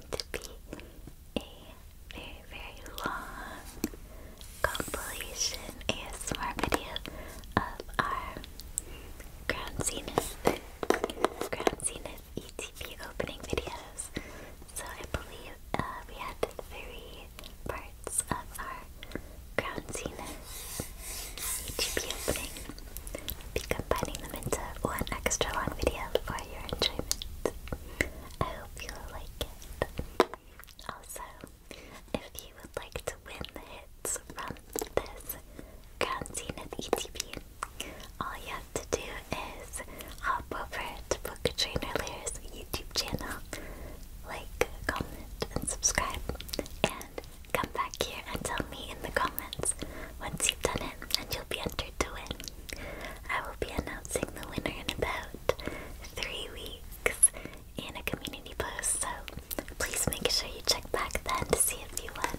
going to be a very, very long compilation ASMR video of our Crown Zenith, ETP opening videos. So I believe uh, we had three parts of our Crown ETP opening i be combining them into one extra long video for your enjoyment. I hope you'll like it. Also, if you would like to win the hits from this Crown Zenith ETP, all you have to do is hop over to Book Trainer Layer's YouTube channel, like, comment, and subscribe, and come back here and tell me in the comments once you've done it, and you'll be entered to win. I will be announcing the winner in about three weeks in a community post, so please make sure you check back then to see if you won.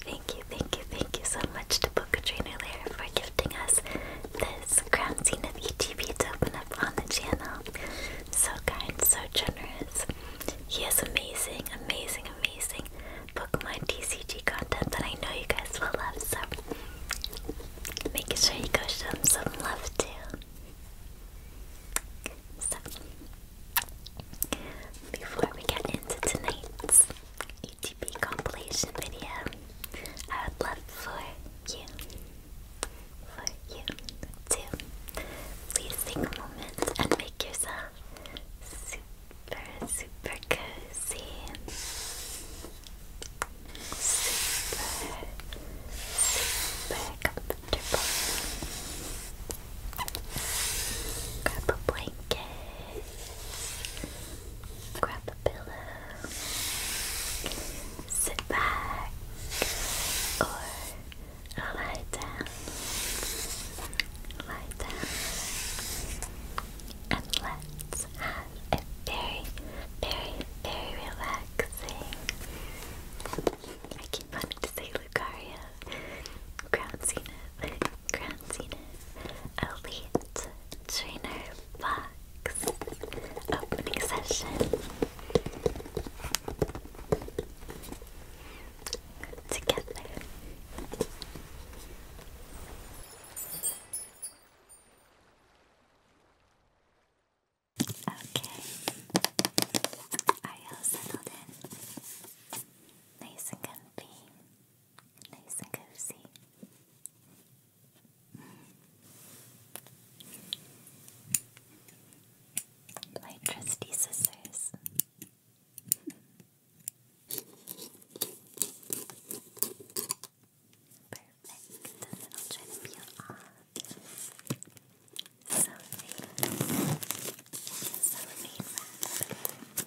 Thank you, thank you, thank you so much to Boca Trainer Lair for gifting us this crown scene of ETB to open up on the channel. So kind, so generous. He is amazing, amazing, amazing. Pokemon TCG content that I know you guys will love, so making sure you go show them some love too. So, before we get into tonight's ETP compilation video, I would love for you, for you to please take a moment and make yourself super cozy, super, super comfortable. Grab a blanket, grab a pillow, sit back or lie down. Lie down and let's have a very, very, very relaxing. I keep wanting to say Lucaria, Ground Zenith, Elite Trainer Box Opening Session. Together. Okay. Are you settled in? Nice and comfy. Nice and cozy. My trusty Perfect. Doesn't all try to peel off. So there you go. Here's the remain It's not too late for you.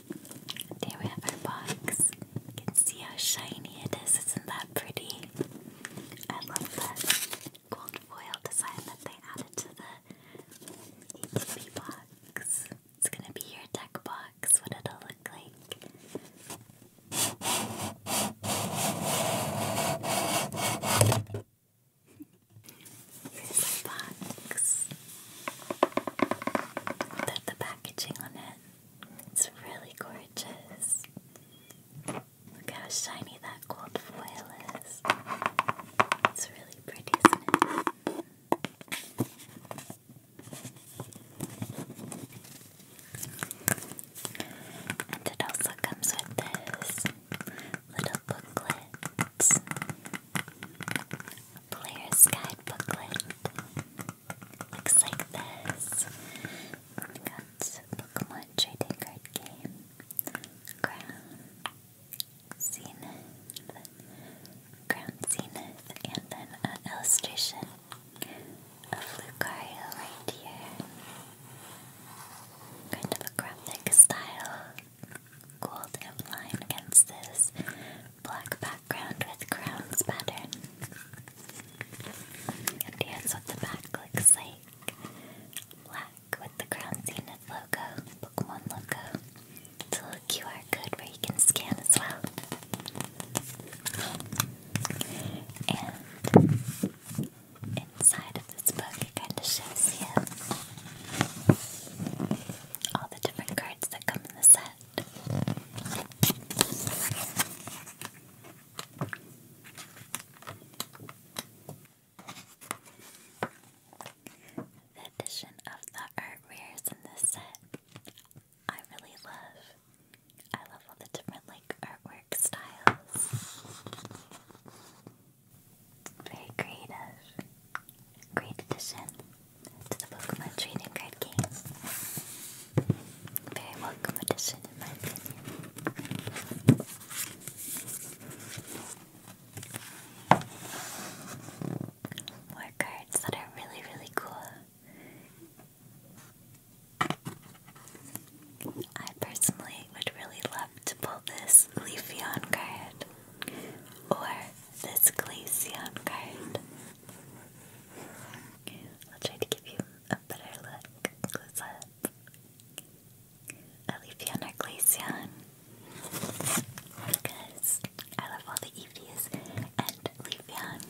There we have our box. You can see how shiny it is. Isn't that pretty? I love that gold foil design that they added to the ETB box. It's gonna be your deck box, what it'll look like. Here's the box. Look the packaging on it. It's really gorgeous. Look how shiny that gold foil is. It's really pretty, isn't it? And it also comes with this little booklet booklet, a player's guide booklet. Looks like this. got Pokemon trading card game, Crown, Zenith, Crown Zenith, and then an illustration of Lucario right here. Kind of a graphic style gold outline against this black background with crowns pattern. And here's what the back looks like. Black with the Crown Zenith logo, Pokemon logo. It's a little QR code where you can scan as well. And inside of this book it kind of shows you all the different cards that come in the set. The addition of the art in this set I really love. I love all the different like artwork styles. Very creative. Great addition to the Pokemon trading card game. Very welcome addition in my opinion. More cards that are really, really cool. I personally would really love to pull this Leafeon card or this Glaceon card. I'll try to give you a better look close up. Elysion or Because I love all the Eevees and Leafeon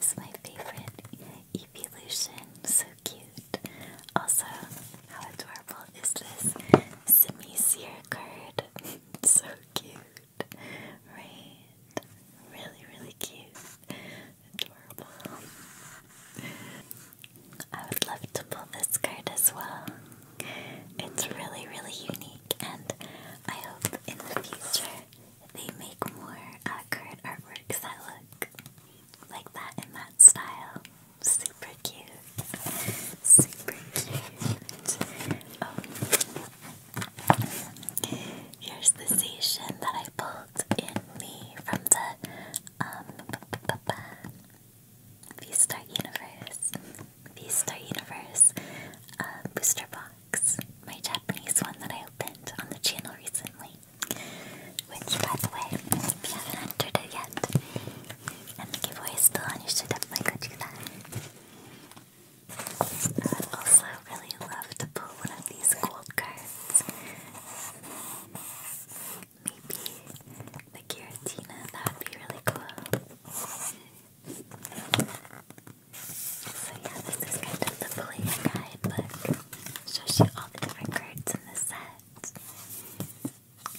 is my favorite Eeveelution. So cute. Also, how adorable is this semi card? so cute right? Really, really cute. Adorable. I would love to pull this card as well. It's really, really unique, and I hope in the future they make more uh, artworks that look like that in that style. Super cute. Super cute. Oh. Here's the station that I pulled in me from the um V-Star Universe. V-Star Universe uh, booster box. My Japanese one that I opened on the channel recently. Which by the way, if you haven't entered it yet, and the giveaway is still on, you should definitely go do that. I also really love to pull one of these gold cards. Maybe the Giratina, that would be really cool. So yeah, this is kind of the player guidebook. Shows you all the different cards in the set.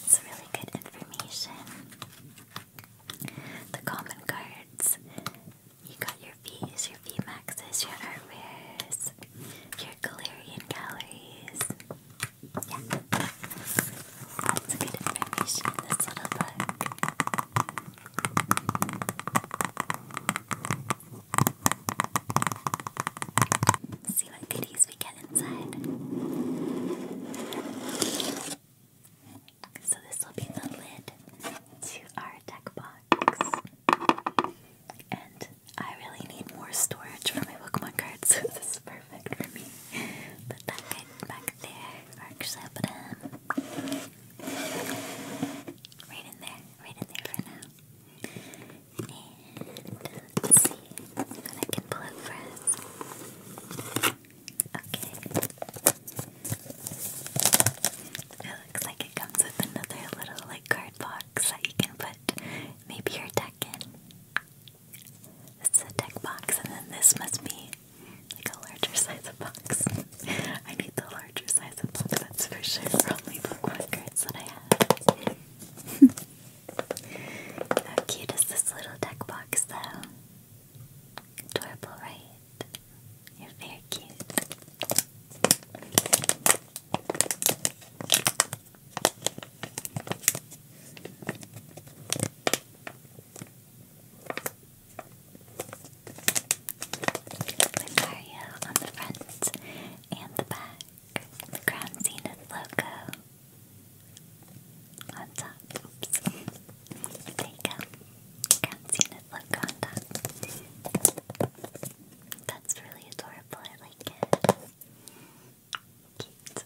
It's really good information. The common cards. You got your fees, your fee maxes, your art rares, your Galarian galleries. Yeah. Lots of good information in this little book. See what goodies we get inside. So this will be the lid to our deck box. And I really need more storage for my Pokemon cards, this is perfect for me. Put that guy back there. Or actually, i him right in there, right in there for now. And let's see what I can pull out for us. Okay. It looks like it comes with another little like card box that you can put maybe your deck in. This is a deck box, and then this must be like a larger size of box. I need the larger size of box, that's for sure, for only the one cards that I have. How cute is this little deck box, though? Adorable, right? You're very cute. Mario on the front and the back, the Crown Zenith logo on top. There you go. Francina's logo on top. That's really adorable. I like it. Cute.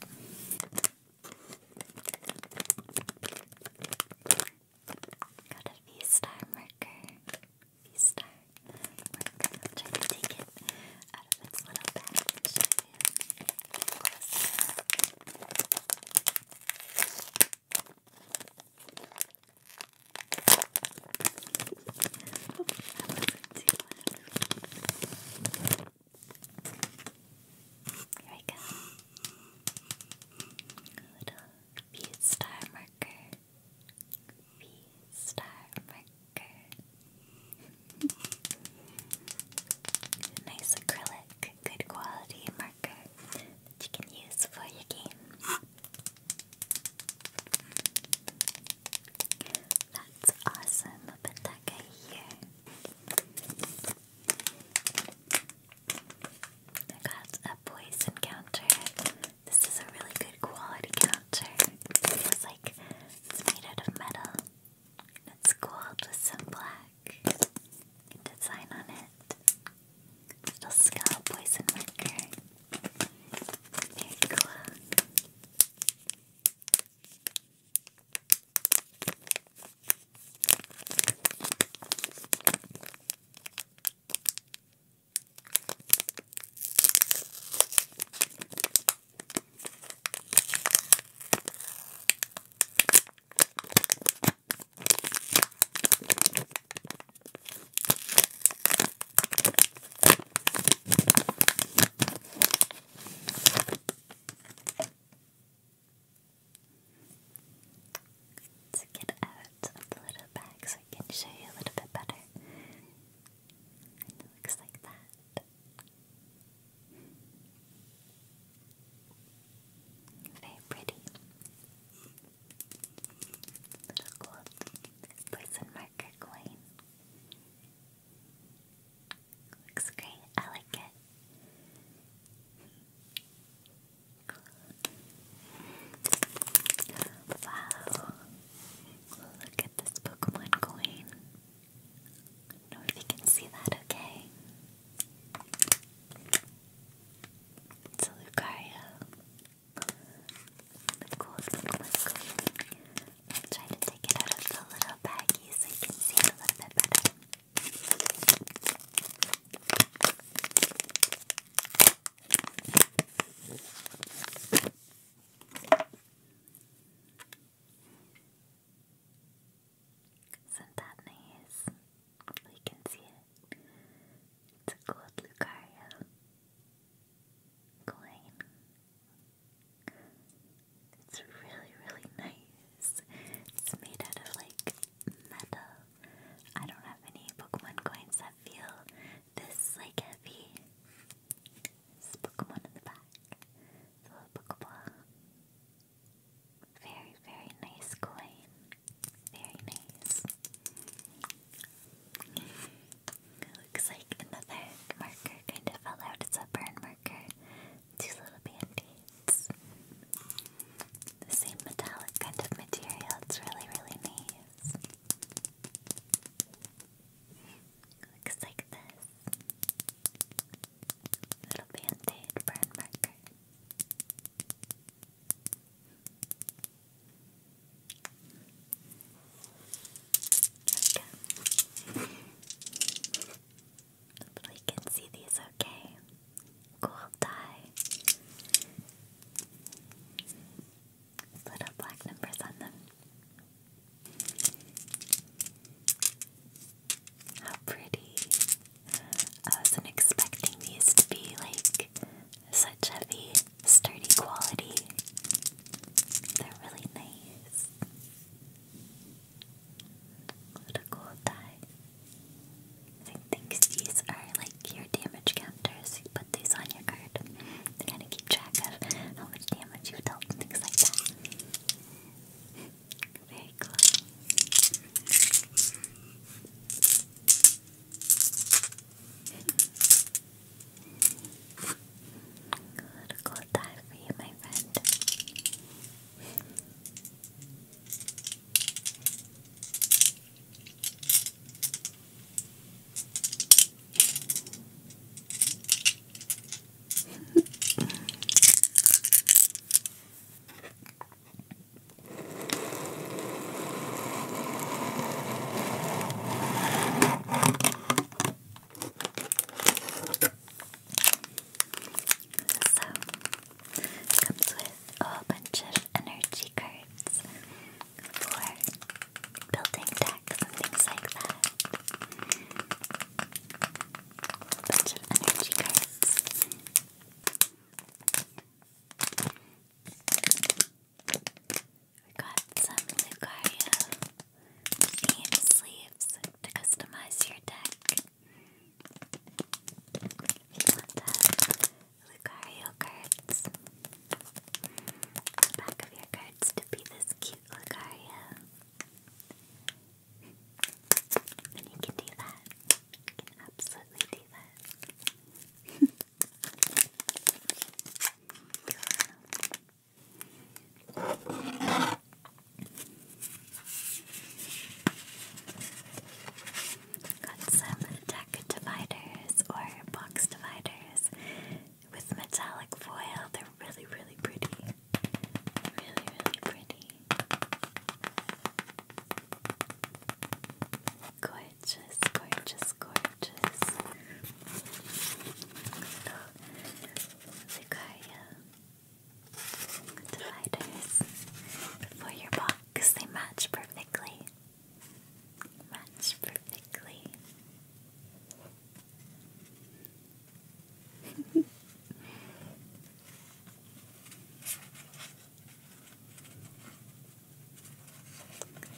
Got a V-star marker. V-star marker. I'll try to take it out of its little bag here we go. little V star marker. V star marker. nice acrylic, good quality marker you can use for your game. That's awesome, put that guy here. I got a poison counter. This is a really good quality counter. It feels like it's made out of metal. It's gold with some black design on it. Little skull poison marker. Very cool. Let's get out of the little bag so I can show you a little bit better. it looks like that. Very pretty. Little cool poison marker coin. Looks great, I like it. Wow, look at this Pokemon coin. know if you can see that, okay? It's a Lucario. Of course, of I'll try to take it out of the little baggie so you can see it a little bit better. Isn't that we can see it. It's a gold Lucario coin. It's really, really nice. It's made out of like metal. I don't have any Pokemon coins that feel this like heavy. This Pokemon in the back. The little Pokeball. Very, very nice coin. Very nice. looks like another marker kind of fell out. It's a burn marker. Two little band-aids. The same metallic kind of material. It's really, really nice. looks like this. Little band-aid burn marker. There we go. Hopefully you can see these okay. Cool dye. Little black numbers on them. How pretty. I wasn't expecting these to be like such heavy, sturdy quality. They're really nice. What a cool tie. I think these are like your damage counters. You put these on your card to kind of keep track of how much damage you dealt and things like that. Very cool. A little cold dive for you, my friend. So, comes with a whole bunch of energy cards for building decks and things like that. A bunch of energy cards. We got some Lucario theme sleeves to customize your deck. If you want that, Lucario cards. The back of your cards to be this cute Lucario. And you can do that absolutely Got some deck dividers or box dividers with metallic foil. They're really, really pretty. Really, really pretty. Gorgeous, gorgeous, gorgeous. Little Lucaria dividers for your box. They match perfectly. Match perfectly.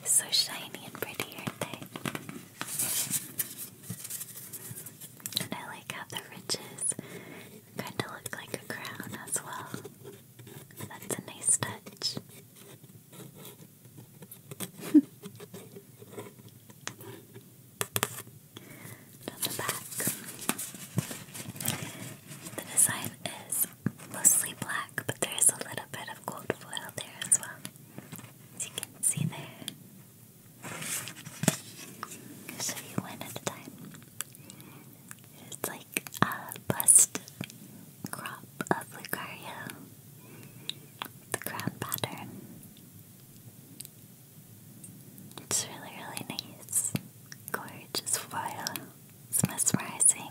So shiny and pretty, aren't they? And I like how the ridges kind of look like a crown as well. That's a nice touch. on the back, the design is mostly black, but there is a little bit of gold foil there as well. As you can see there. i you one at a time. It's like a bust crop of Lucario. The crown pattern. It's really, really nice. Gorgeous foil. It's mesmerizing.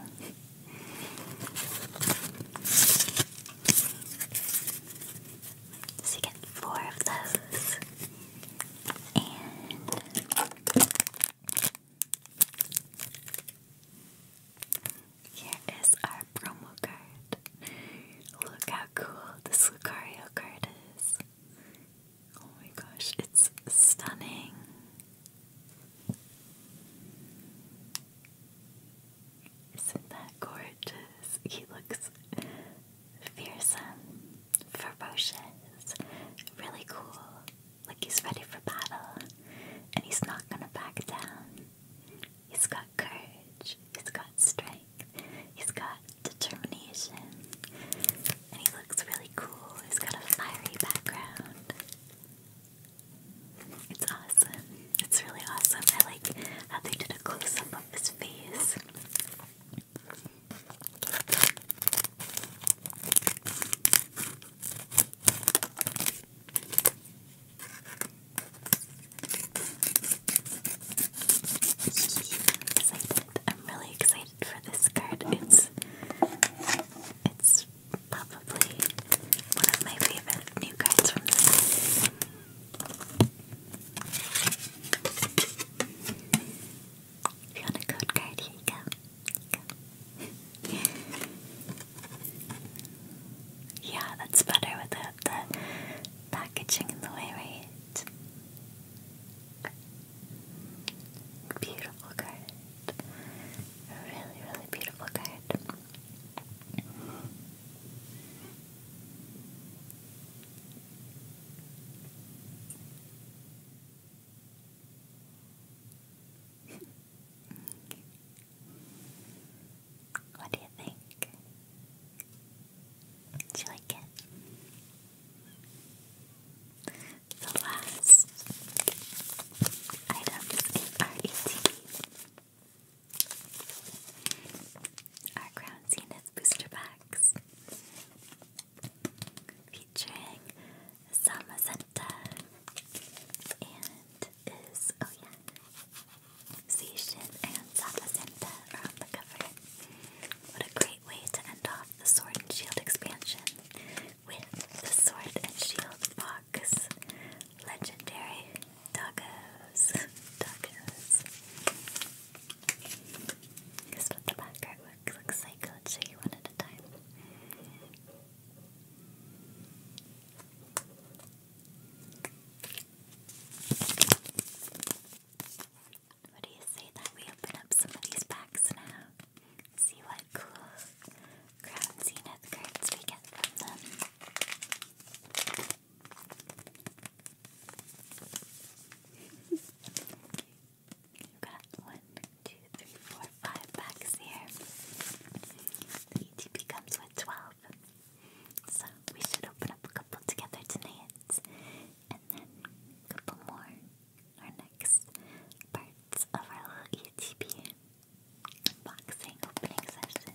So you get four of those. And here is our promo card. Look how cool this Lucario card is. Oh my gosh, it's stunning. Isn't that gorgeous? He looks fearsome, ferocious, really cool. Like he's ready for battle and he's not gonna back down. He's got courage, he's got strength, he's got determination, and he looks really cool. He's got a fiery background. It's awesome. It's really awesome. I like that they did a close up of his face. excited. I'm really excited for this card. It's it's probably one of my favorite new cards from the set. If you want a code card, here you go. yeah, that's better without the packaging in the way, right? Beautiful card. A really, really beautiful card. what do you think? Do you like it? the last items in our ATV our Crown Zenith booster packs featuring Samazenta and is, oh yeah, Seishin and Samazenta are on the cover. What a great way to end off the Sword and Shield expansion with the Sword and Shield box. Fox. Legendary tacos. tacos. Guess what the back artwork looks like? show you one at a time. What do you say that we open up some of now? see what cool Crown Zenith cards we get from them. you got one, two, three, four, five packs here. The ETP comes with 12. So we should open up a couple together tonight and then a couple more our next parts of our little ETP unboxing opening session.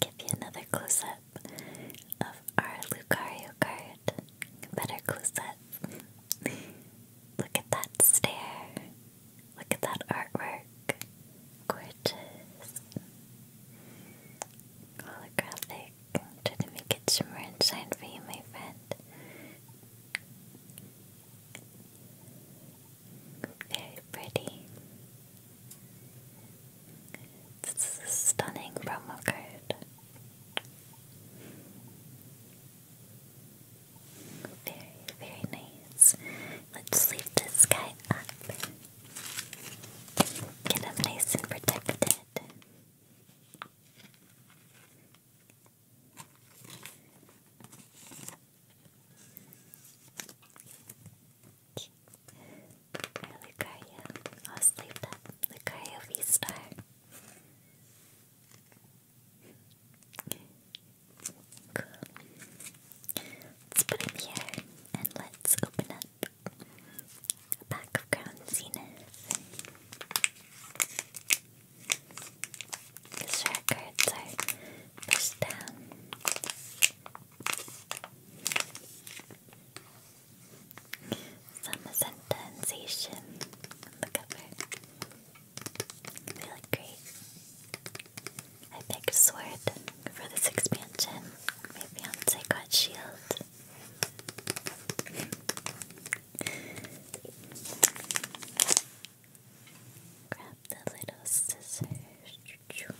Give you another close up of our Lucario card. Better close up. Look at that stare. Look at that artwork. Gorgeous. Holographic dark. Try to make it more inside for you, my friend. Very pretty. This a stunning promo card. Very, very nice. Let's leave this guy up. Get him nice and protected. Or Lucario. I'll sleep that. Lucario V Star. Cool. Let's put him here and let's open up a pack of Crown Zenith. Because rare are pushed down. Some Azenta and Zacian on the cover. They great. I picked Sword for this expansion. My fiance got Shield. Grab the little scissors. Do a little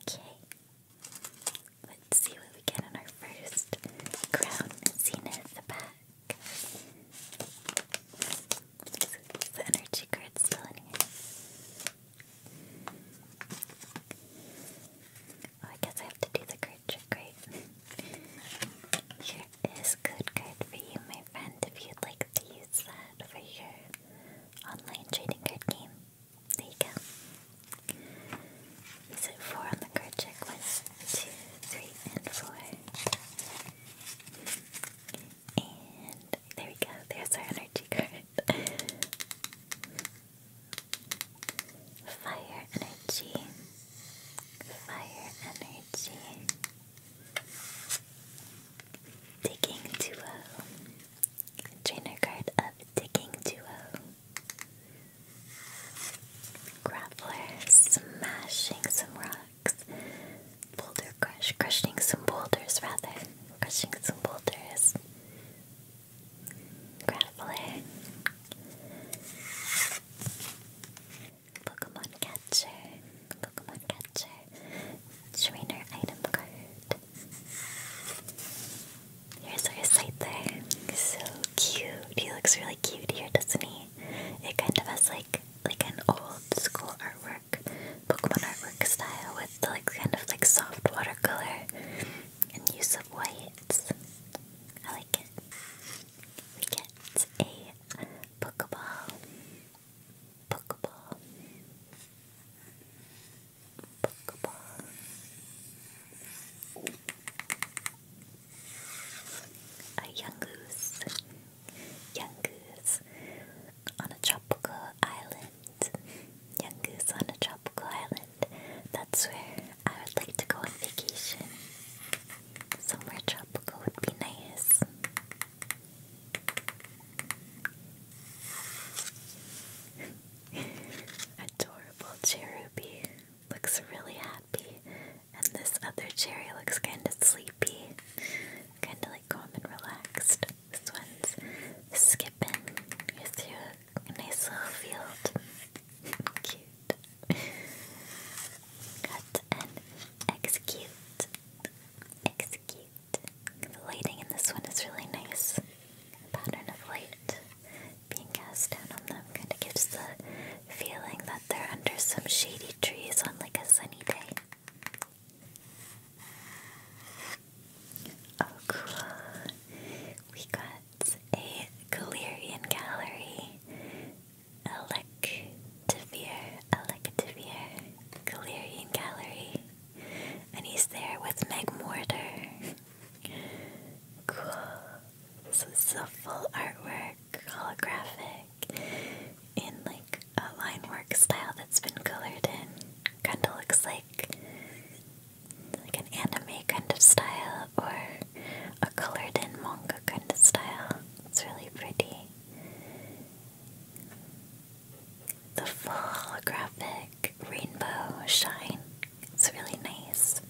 Okay. Let's see what we get on our first crown zenith pack. the energy card still in here? Oh, I guess I have to do the card trick, Here is code card for you, my friend, if you'd like to use that for your online trading card game. There you go. Is it four on the card check? One, two, three, and four. And there we go. There's our energy card. Fire energy. Fire energy. Digging duo. Trainer card of digging duo. Grappler smashing some rocks. Boulder crush, crushing some boulders rather. Crushing some boulders. Grappler. Pokemon catcher. Pokemon catcher. Trainer item card. Here's our Scyther. So cute. He looks really cute here, doesn't he? It kind of has like like an old school artwork, Pokemon artwork style with like kind of like soft watercolor and use of whites. I like it. We get a Pokeball. Pokeball. Pokeball a young goose, young goose on a tropical island. Young goose on a tropical island. That's where I would like to go on vacation. Somewhere tropical would be nice. Adorable cherubi looks really happy, and this other cherry looks kind of sleepy, kind of like calm and relaxed. This one's skipping through a nice little field. Cute. Cut and execute. Execute. The lighting in this one is really nice. pattern of light being cast down on them kind of gives the feeling that they're under some shady trees on like a sunny day. Oh, cool. We got a Galerian gallery. Electivire, Electivire, Galerian gallery. And he's there with Meg Mortar. Cool. So this is a full artwork, holographic, in like a line work style that's been colored in. Kinda looks like like an anime kind of style or a colored in manga kind of style. It's really pretty. The full holographic rainbow shine it's really nice.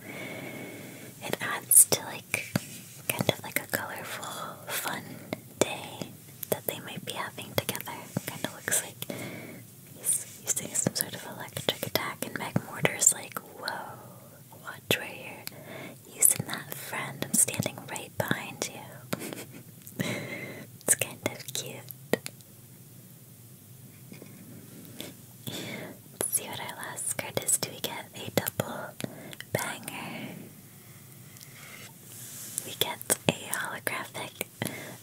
It adds to like kind of like a colorful, fun day that they might be having together. Kind of looks like he's using some sort of electric attack, and Meg Mortar's like, "Whoa, watch where you're using that friend. I'm standing right behind you." it's kind of cute. Let's see what our last card is. Do we get a double banger? We get a holographic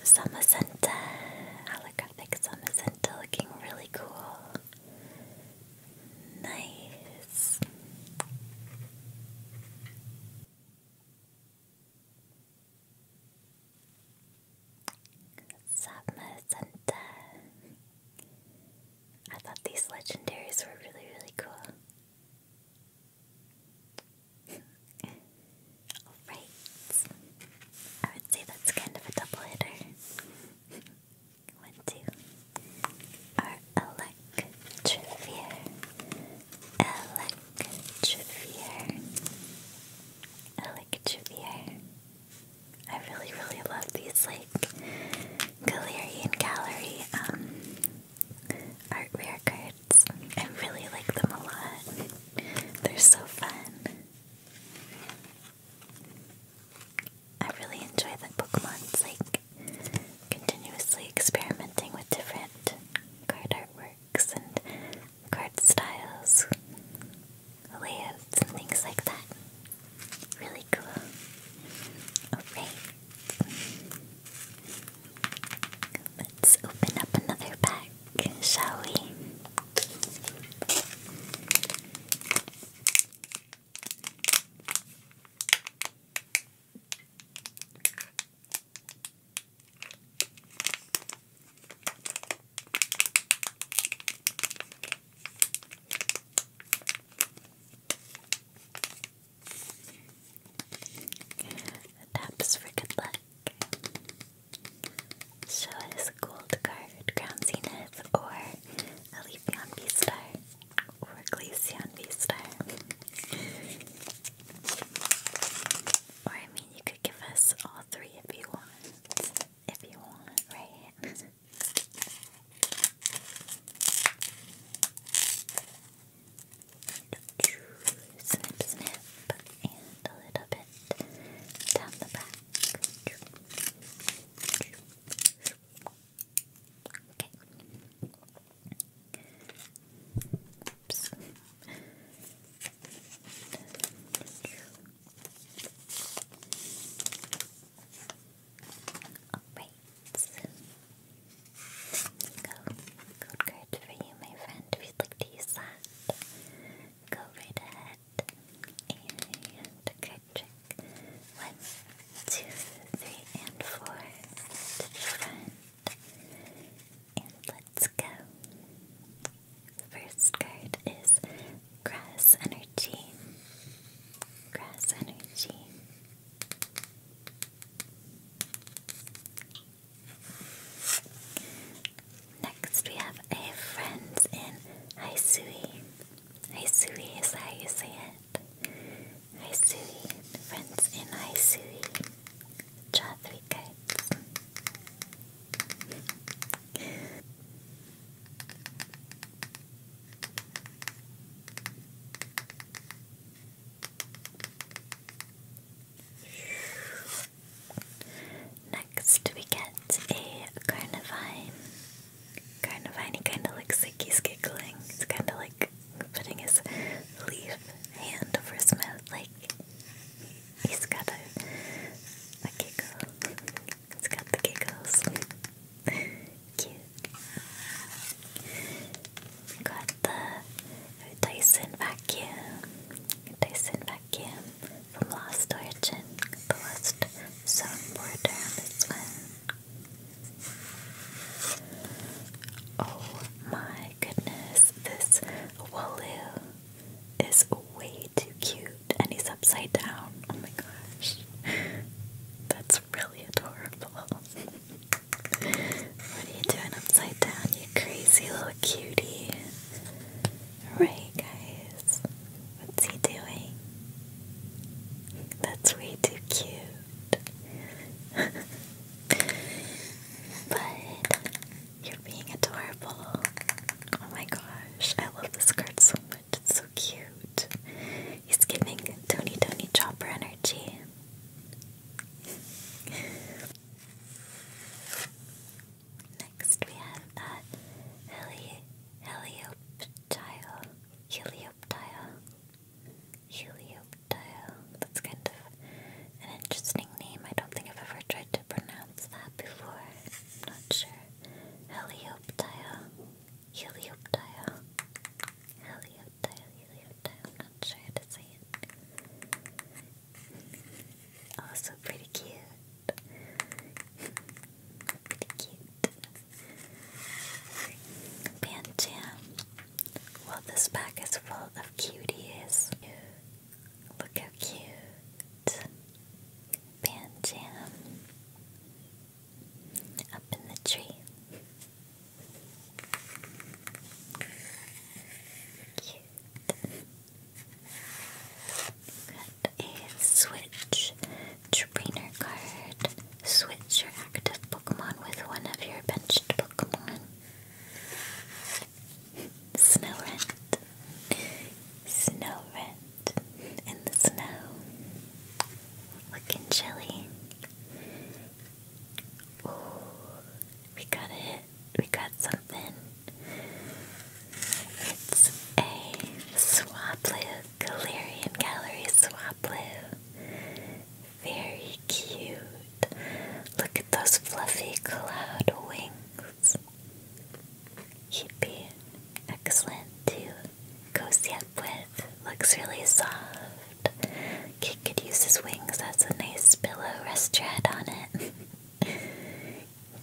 Samacenta. Holographic Samacenta looking really cool. Nice. Samacenta. I thought these legendaries were really, really cool. Alright. I would say that's kind of a double hitter. One, two. Our Electrovere. Electrovere. I really, really love these like Galarian Gallery um, art rare cards. I really like them a lot. They're so fun. I really enjoy the Pokemon's like continuously experimenting with different card artworks and card styles layouts and things like that. Really cool. Alright. Let's open up another pack, shall we? Taps for luck. Show us a gold card, Crown Zenith, or Alepion V Star, or Glaceon V Star. or I mean, you could give us all three if you want. If you want, right? Snip, snip, and a little bit down the back. Okay. Oops. Alright. Go. Code for you, my friend, if you'd like to use that. Go right ahead. And card trick. One, two, three, and four. To the And let's go. First card is Grass energy. Grass energy. Next, we have a friends in Haisui. Haisui is how you say it. Haisui. Friends in Haisui. Draw three cards. Next, we get a Carnivine. Carnivine, he kind of looks like he's giggling. It's kind of like putting his leaf hand over his mouth, like he's got a giggle. It's got the giggles. Cute. got the Dyson vacuum. Dyson vacuum from Lost Origin. The Lost soundboard on one. Oh my goodness, this Walu is way too cute and he's upside down. Oh my gosh. That's really adorable. what are you doing upside down, you crazy little cutie? Alright, guys. What's he doing? That's way too cute. but you're being adorable. Oh my gosh, I love this card so much cute. He's giving Tony Tony Chopper energy. Next we have uh, Helioptile. Helioptile. Helioptile. That's kind of an interesting name. I don't think I've ever tried to pronounce that before. not sure. Helioptile. Helioptile. Helioptile, helioptile. not sure how to say it. Also pretty cute. pretty cute. Panjam. Well, this pack is full of cuties. Look how cute. Panjam up in the tree. Cute. Got a switch trainer card. Switch your active Pokemon with one of your benched Pokemon. Snow Rent. Snow Rent in the snow, looking chilly. Ooh, we got it. We got something. It's a Swablu, Galarian Gallery Swablu. Very cute. Look at those fluffy cloud wings. he excellent to cozy up with. Looks really soft. Kid could use his wings That's a nice pillow. Rest your head on it.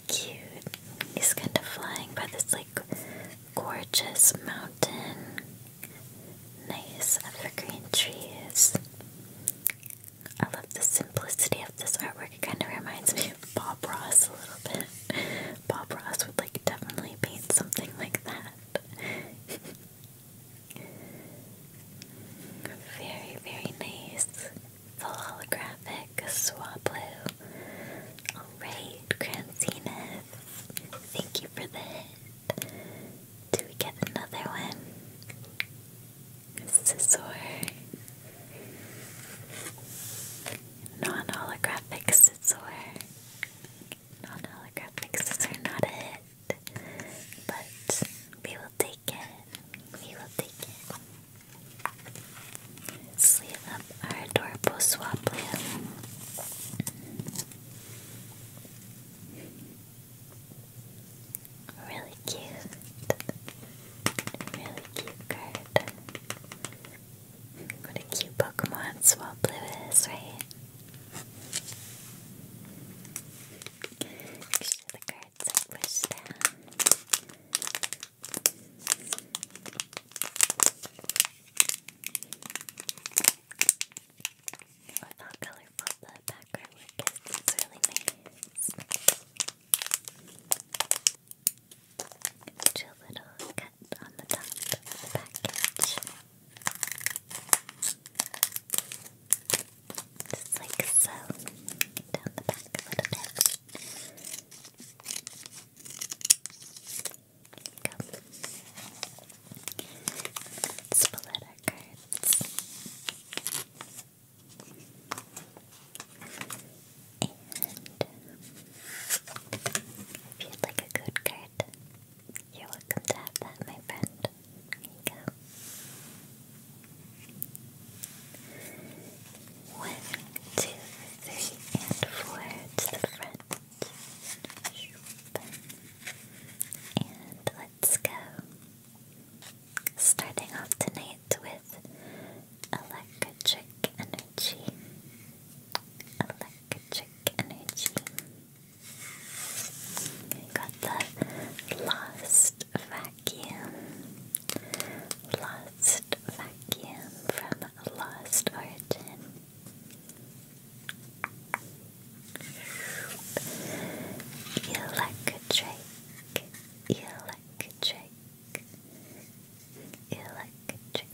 Cute. He's kind of flying by this like gorgeous mountain. Nice evergreen trees. I love the simplicity of this artwork. It kind of reminds me of Bob Ross a little bit. Bob Ross would like definitely paint something like that very, very nice. The holographic Swablu. Alright, Cransina. Thank you for the hit. Do we get another one? Scissor. Non holographic scissor non-holographic scissors are not a but we will take it. We will take it. Sleeve up our adorable Swamploom. Really cute. Really cute card. What a cute Pokemon Swablu is, right? Actually, the cards are pushed down. Look how colorful the background is. It's really nice. Two little on the top of the package. Just like so. Down the back a little bit. There you our cards. And um, if you'd like a code card, you're welcome to have that, my friend. Here you go. One, two, three, and four to the front. And let's go. Starting off tonight with electric energy. Electric energy. Got the Lost Vacuum. Lost Vacuum from Lost Origin. Electric. Electric. Electric.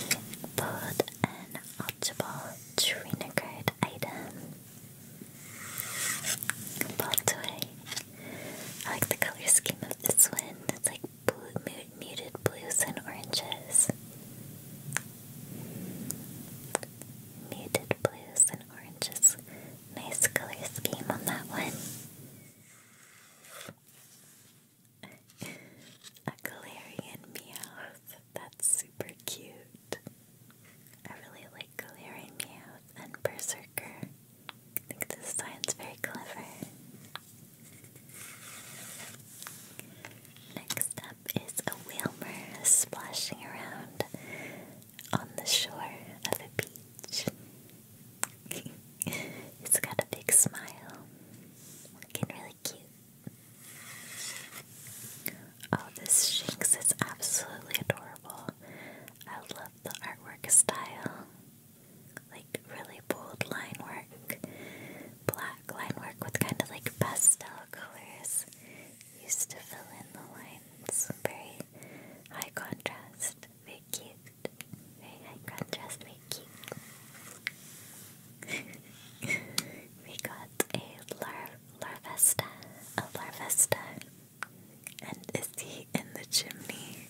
We bought an optimal trainer card item. Both way. I like the color scheme of this one. It's like blue, muted blues and oranges. Muted blues and oranges. Nice color scheme on that one a Galarian Meowth. That's super cute. I really like Galarian Meowth and Berserker. I think this design's very clever. Next up is a Whalmer splashing around on the shore of a beach. He's got a big smile. Looking really cute. Oh, this Shinx is absolutely adorable. I love the artwork style. Like really bold line work. Black line work with kind of like pastel colors. Used to fill in the lines. Very high contrast. Very cute. Very high contrast, very we got a lar larvesta, a larvesta, and is he in the chimney?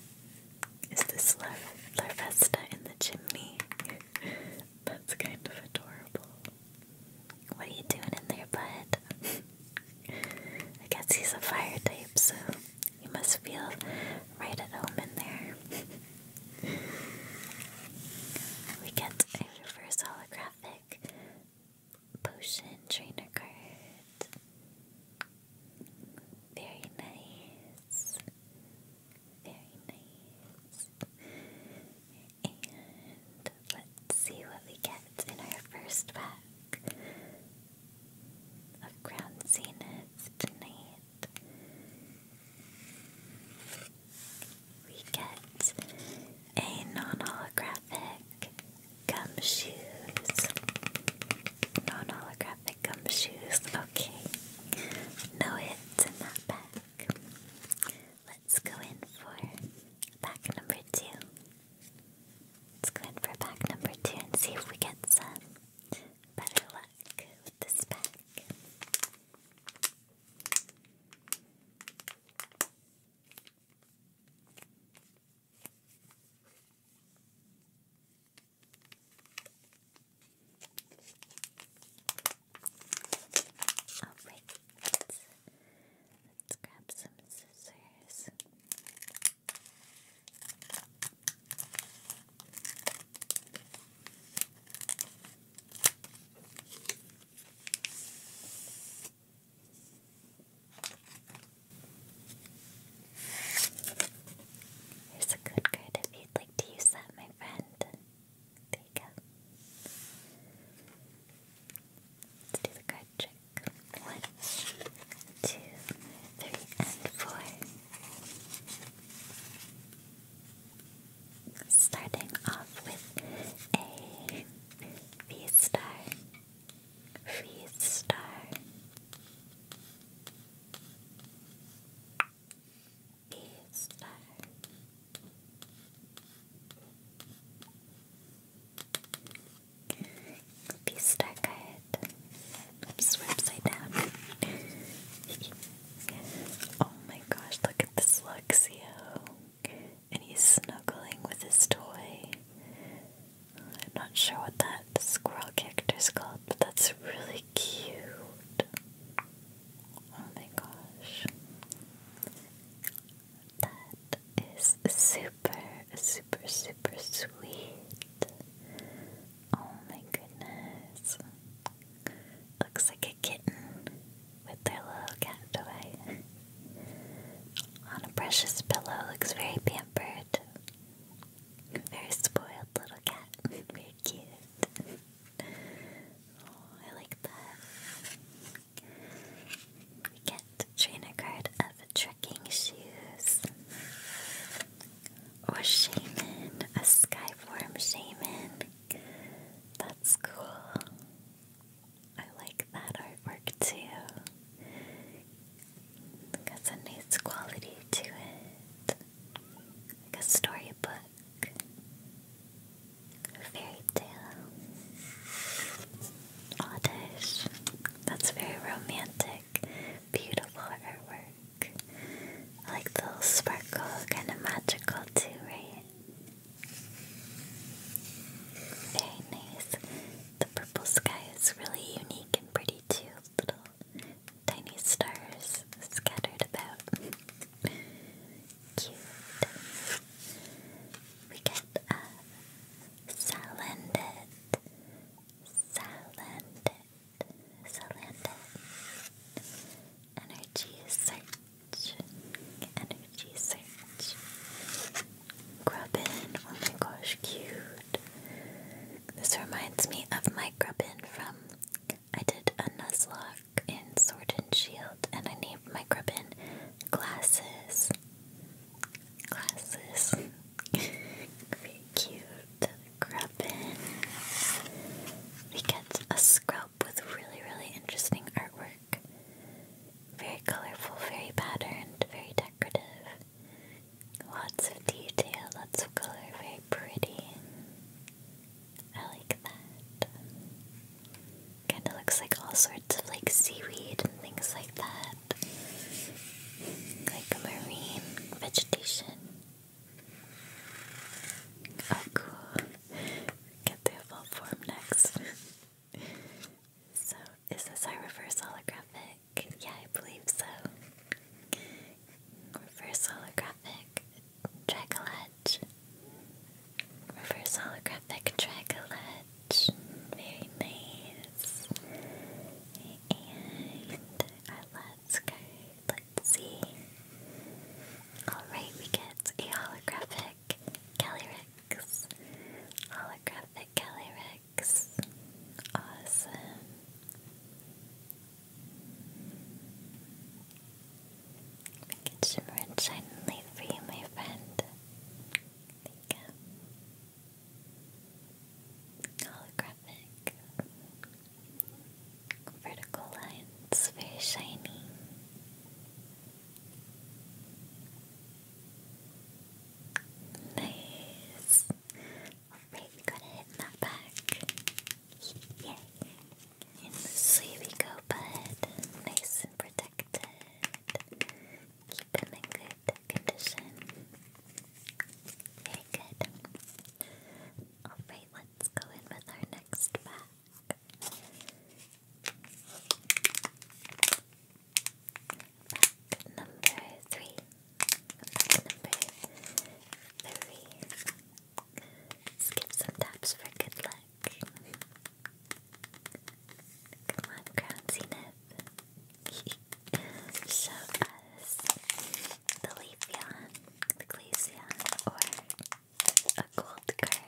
Is this lar larvesta in the chimney? That's kind of adorable. What are you doing in there, bud? I guess he's a fire type, so you must feel right at home in there. We get a reverse holographic potion trainer card. Very nice. Very nice. And let's see what we get in our first pack of Crown Zenith tonight. We get a non holographic gumshoes. Non holographic gumshoes. Okay. No hits in that pack. Let's go in for pack number two. Let's go in for pack number two and see if we get some better luck with this pack. All right, let's, let's grab some scissors. Here's a code card if you'd like to use that, my friend. There you do the card trick. One, two, three, and four. Starting off with a V-star, V-star. B star B star Oops, upside down. Oh my gosh, look at this Luxio. And he's snuggling with his toy. I'm not sure what that squirrel character is called, but that's really cute. Oh my gosh. That is super, super, super sweet. Oh my goodness. Looks like a kitten with their little cat toy on a precious pillow. Looks very pampered. Very spoiled little cat. very cute. oh, I like that. We get trainer card of trekking shoes. Or shaman, a skyform shaman. That's cool. I like that artwork too. Got a nice quality to it. Like a storybook. A fairy tale. Oddish. That's very romantic. Beautiful artwork like little sparkle, kind of magical too, right? Very nice. The purple sky is really unique and pretty too. Little tiny stars scattered about. Cute. We get a uh, salandit. Salandit. Salandit energy search, energy search. Grubbin, oh my gosh, cute. This reminds me of my Grubbin from, I did a Nuzlocke in Sword and Shield and I named my Grubbin Glasses. Glasses. Very cute. Grubbin. We get a scrub with really, really interesting artwork. Very colorful, very patterned, very decorative. Lots of detail, lots of color, very pretty. I like that. Kinda looks like all sorts of like seaweed and things like that. Like marine vegetation. Oh, cool. Get the full form next. so, is this our reverse holographic? Yeah, I believe so. Reverse holographic Dragoledge. Reverse holographic Dragoledge. Very nice. And our last card. Let's see. Alright, we get a holographic Calyrex. Holographic Calyrex. Awesome. Make it shimmer and and light for you, my friend. There go. Holographic vertical lines, very shiny. Nice. Alright, we got a hit that back. Yay. And sleeve we go, bud. Nice and protected. Keep them in good condition. Very good. Alright, let's go in with our next pack. Pack number three. Pack number three. Skip some taps for good luck. Come on, Crown Show us the Leafeon, the Glaceon, or a gold card. go.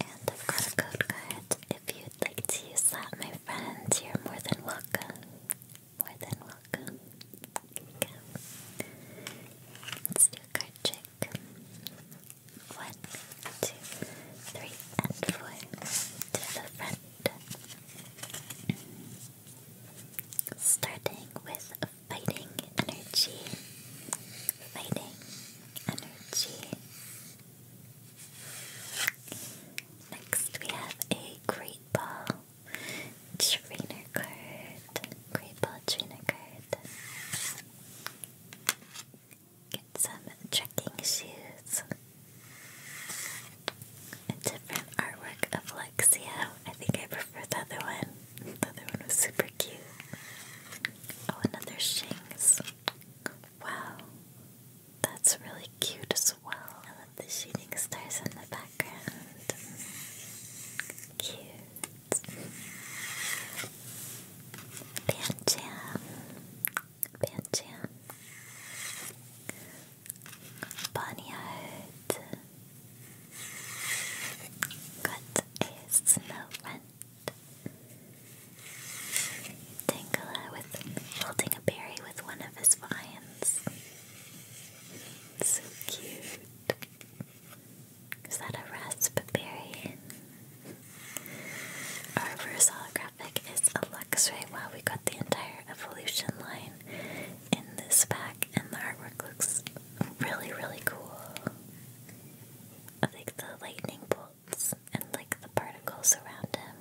And I've got a code card. If you'd like to use that, my friend, you're more than welcome. More than welcome. Let's do card trick. One, two, three, and four. To the front. Starting with fighting energy. Fighting energy. Next, we have a Great Ball Trainer card. Great Ball Trainer card. Get some trekking shoes. different artwork of Lexia. I think I prefer the other one. The other one was super cute. Oh, another Shinx. Wow. That's really cute as well. I love the shooting stars in the background. Cute. Pancham. Pancham. Bonnyard. Got a snow Tangela with holding a berry with one of his vines. So cute. Is that a raspberry? Our reverse holographic is a Luxray. Wow, we got the entire evolution line in this pack, and the artwork looks really, really cool like the lightning bolts and like the particles around him,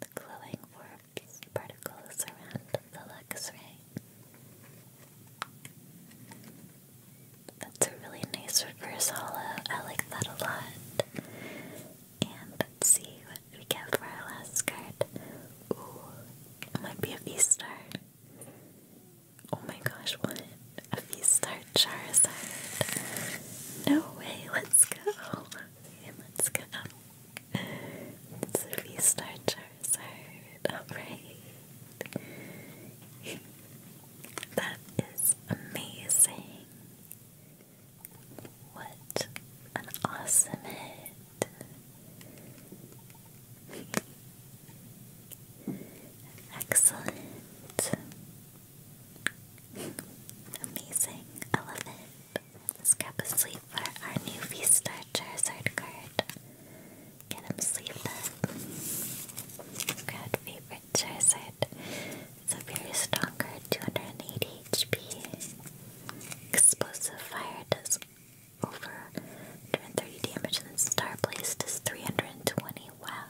the glowing particles around the Lux That's a really nice reverse hollow. I like that a lot. And let's see what we get for our last card. Ooh, it might be a V star. Oh my gosh, what? A V-Star Charizard. No way, let's go. let's go. It's a V-Star Charizard. Alright. that is amazing. What an awesome hit. Excellent. Amazing. I love it. Let's for our new V-Star Charizard card. Get him sleeved up. favorite Charizard. It's a very strong card, 280 HP. Explosive fire does over 130 damage and star place does 320 well,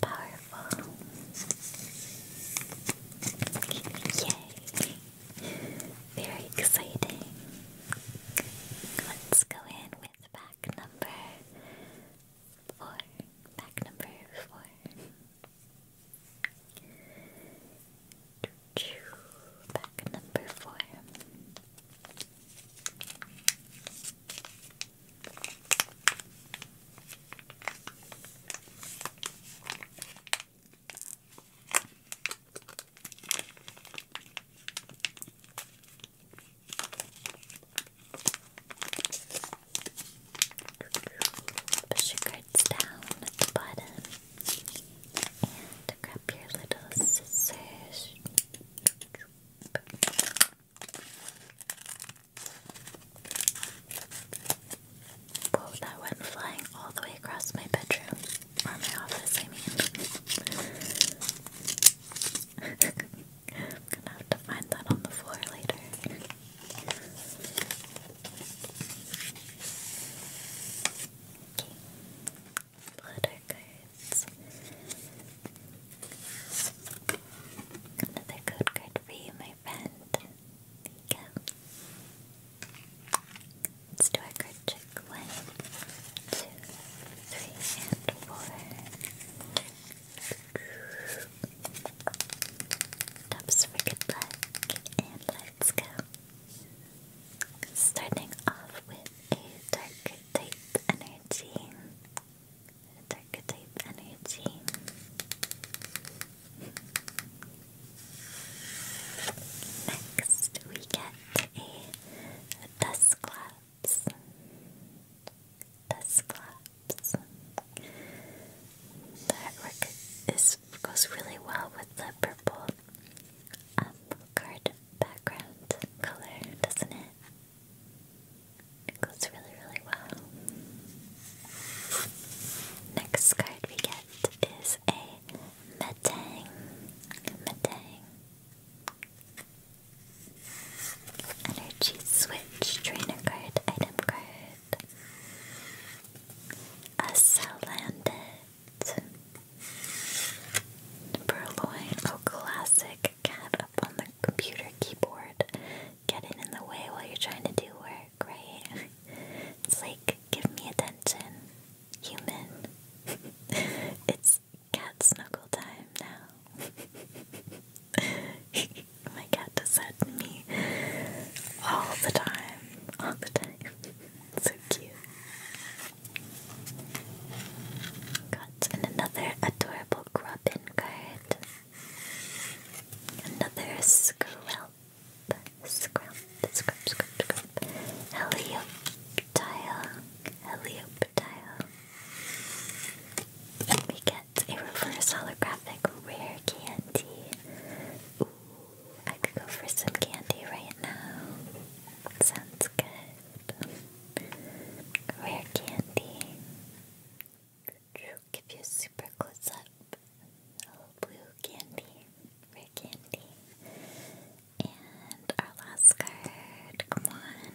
powerful. Yay! Very exciting. Let's go in with pack number four. Pack number four. Pack number four. Push your cards down at the bottom and grab your little scissors. Whoa, that went flying all the way across my bedroom. Or my office, I mean. I'm gonna have to find that on the floor later. Okay guys. Another code card for you, my friend. There you go. Let's do our card check. One, two, three, and four. Tops for good and let's go. Starting off with a dark type energy. It's archetype energy. Next, we get a Dusclops. Dusclops. The artwork is, goes really well with the purple um, background color, doesn't it? It goes really, really well. Next card we get is a Metang. Metang. Energy Switch Trainer Card Item Card. A Salandit. Purloin. Oh, classic cat on the computer keyboard getting in the way while you're trying to do work, right? It's like, give me attention, human. it's cat snuggle time now. My cat does that to me all the time. All the time. so cute. Got another adorable little grubbin card. Another scrub. Scrub, scrub, scrub, scrub. Helioptile. Helioptile. We get a reverse holographic rare candy. Ooh, I could go for some candy right now. Sounds good. Rare candy. Give you a super close up of blue candy, rare candy. And our last card, come on.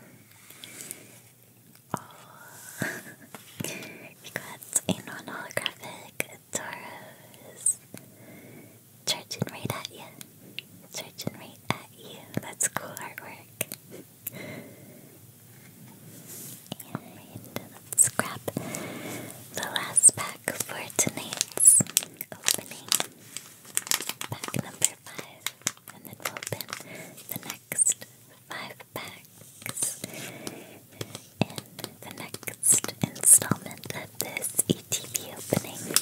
we oh. got a non holographic Tauros charging right at you. Charging right at you. That's cool artwork. And let's grab the last pack for tonight's opening. Pack number five. And then we'll open the next five packs in the next installment of this ETV opening.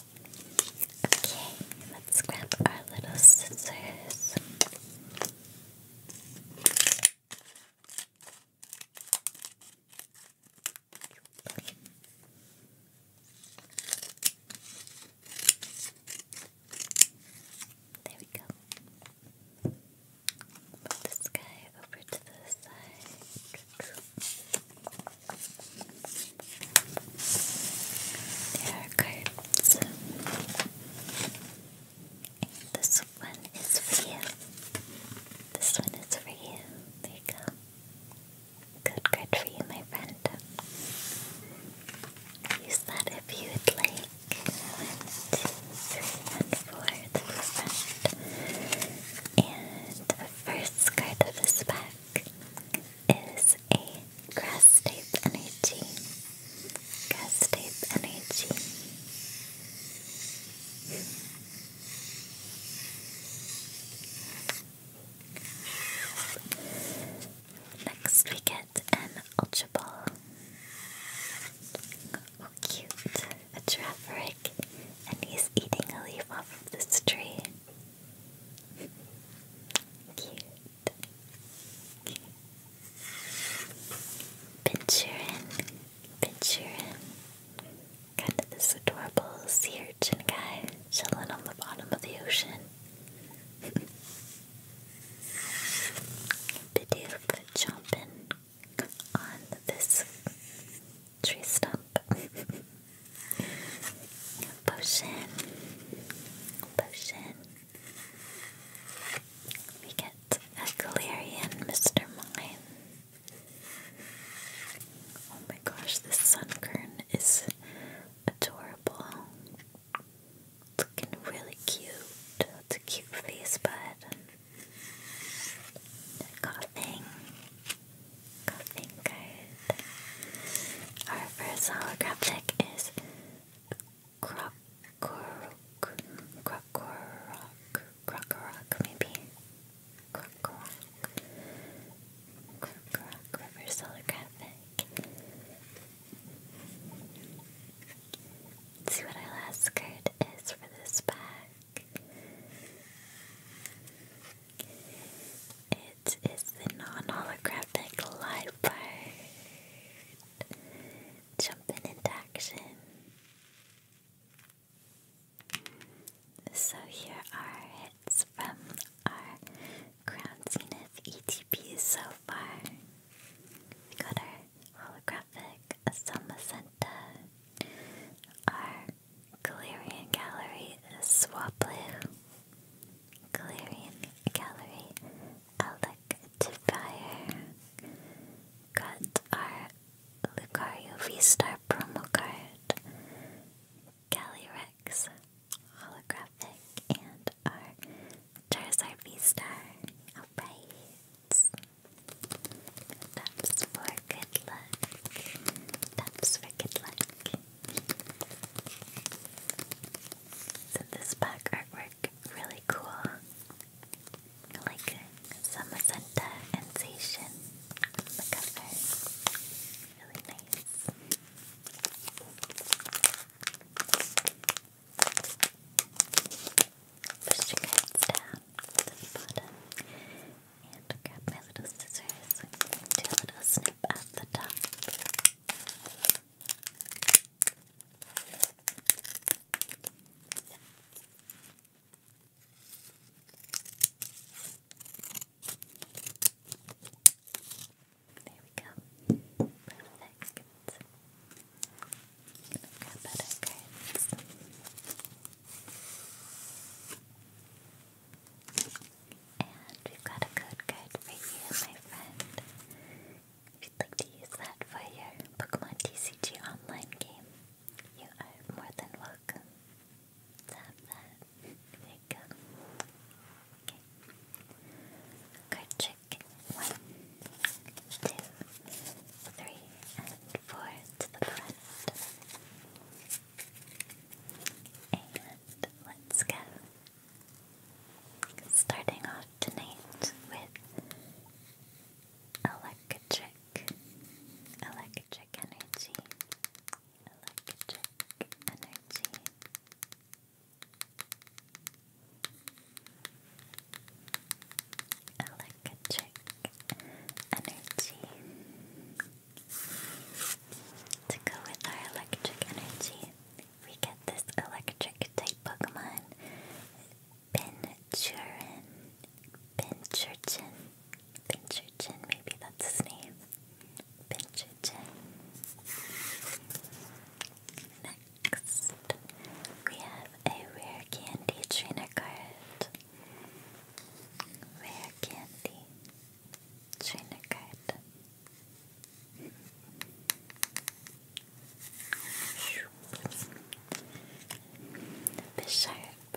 Okay, let's grab our little scissors. There we go. Put this guy over to the side. There are cards. this one is for you. This one is for you. There you go. Good card for you, my friend. Use that if you would like. One, two, three, and four. the front. And the first card of this pack is a grass type energy. Grass type energy. Next, we get an Ultra Oh, cute. A Giraffe and he's eating a leaf off of this tree. Cute. Okay. Pinchurin, Pinchurin. Kind of this adorable sea urchin guy chilling on the bottom of the ocean. Bidoof chomping on this tree stump. potion, potion. We get a Galarian Mr. Mime. Oh my gosh, this sunkern is adorable. Looking really cute. It's a cute face, bud. Coughing. Golfing card. Our first holographic is Krokorok. Krokorok. Krokorok, maybe. Krokorok. Krokorok, reverse holographic. Let's see what our last card is for this pack. It is the non-holographic live bird jumping into action. So here are hits from our Crown Zenith ETP so far. We got our holographic Asama Senta, our Galarian Gallery Swaplu, Galarian Gallery Electifier, got our Lucario V-Star promo card, Rex holographic, and our Charizard V-Star. Alright. Taps for good luck. Taps for good luck. So this pack artwork really cool. Like Samazenta and Seishin on the cover. Really nice. Push your guys down to the bottom and grab my little scissors do a little snip at the top. There we go. Perfect. Grab out our and we've got a code card for you, my friend. If you'd like to use that for your Pokemon TCG online game, you are more than welcome to that. There you go. Okay. Card trick one, two, three, and four to the front. And let's go. Starting off tonight with electric, electric energy, electric energy. Electric energy, to go with our electric energy, we get this electric type Pokemon, Pinchurin. Pinchurchin. Pinchurchin, maybe that's his name. Pinchurchin. Next, we have a rare candy trainer card. Rare candy. Schönigkeit. This sharp.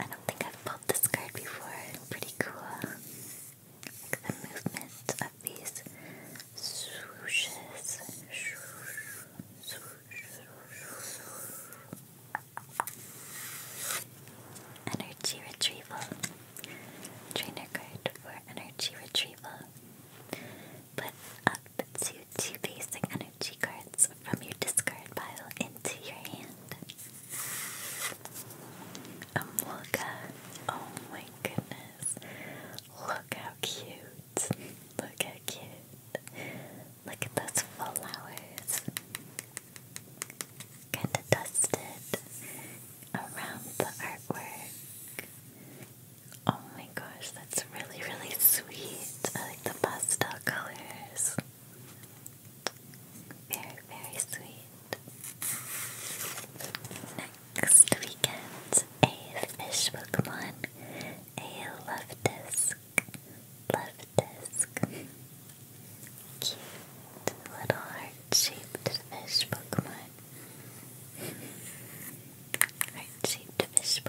I don't think I've pulled this card before. Pretty cool. Like the movement of these Energy Retrieval. Trainer card for Energy Retrieval. Put up to two basic energy cards from your discard pile into your hand. Amolka. Oh my goodness. Look how cute. Look how cute. Look at those flowers kind of dusted around the artwork. Oh my gosh, that's really, really sweet. I like the pastel colors. Very, very sweet. Next, we get a fish Pokemon, a Love Disc. Love Disc. Cute little heart-shaped fish heart-shaped fish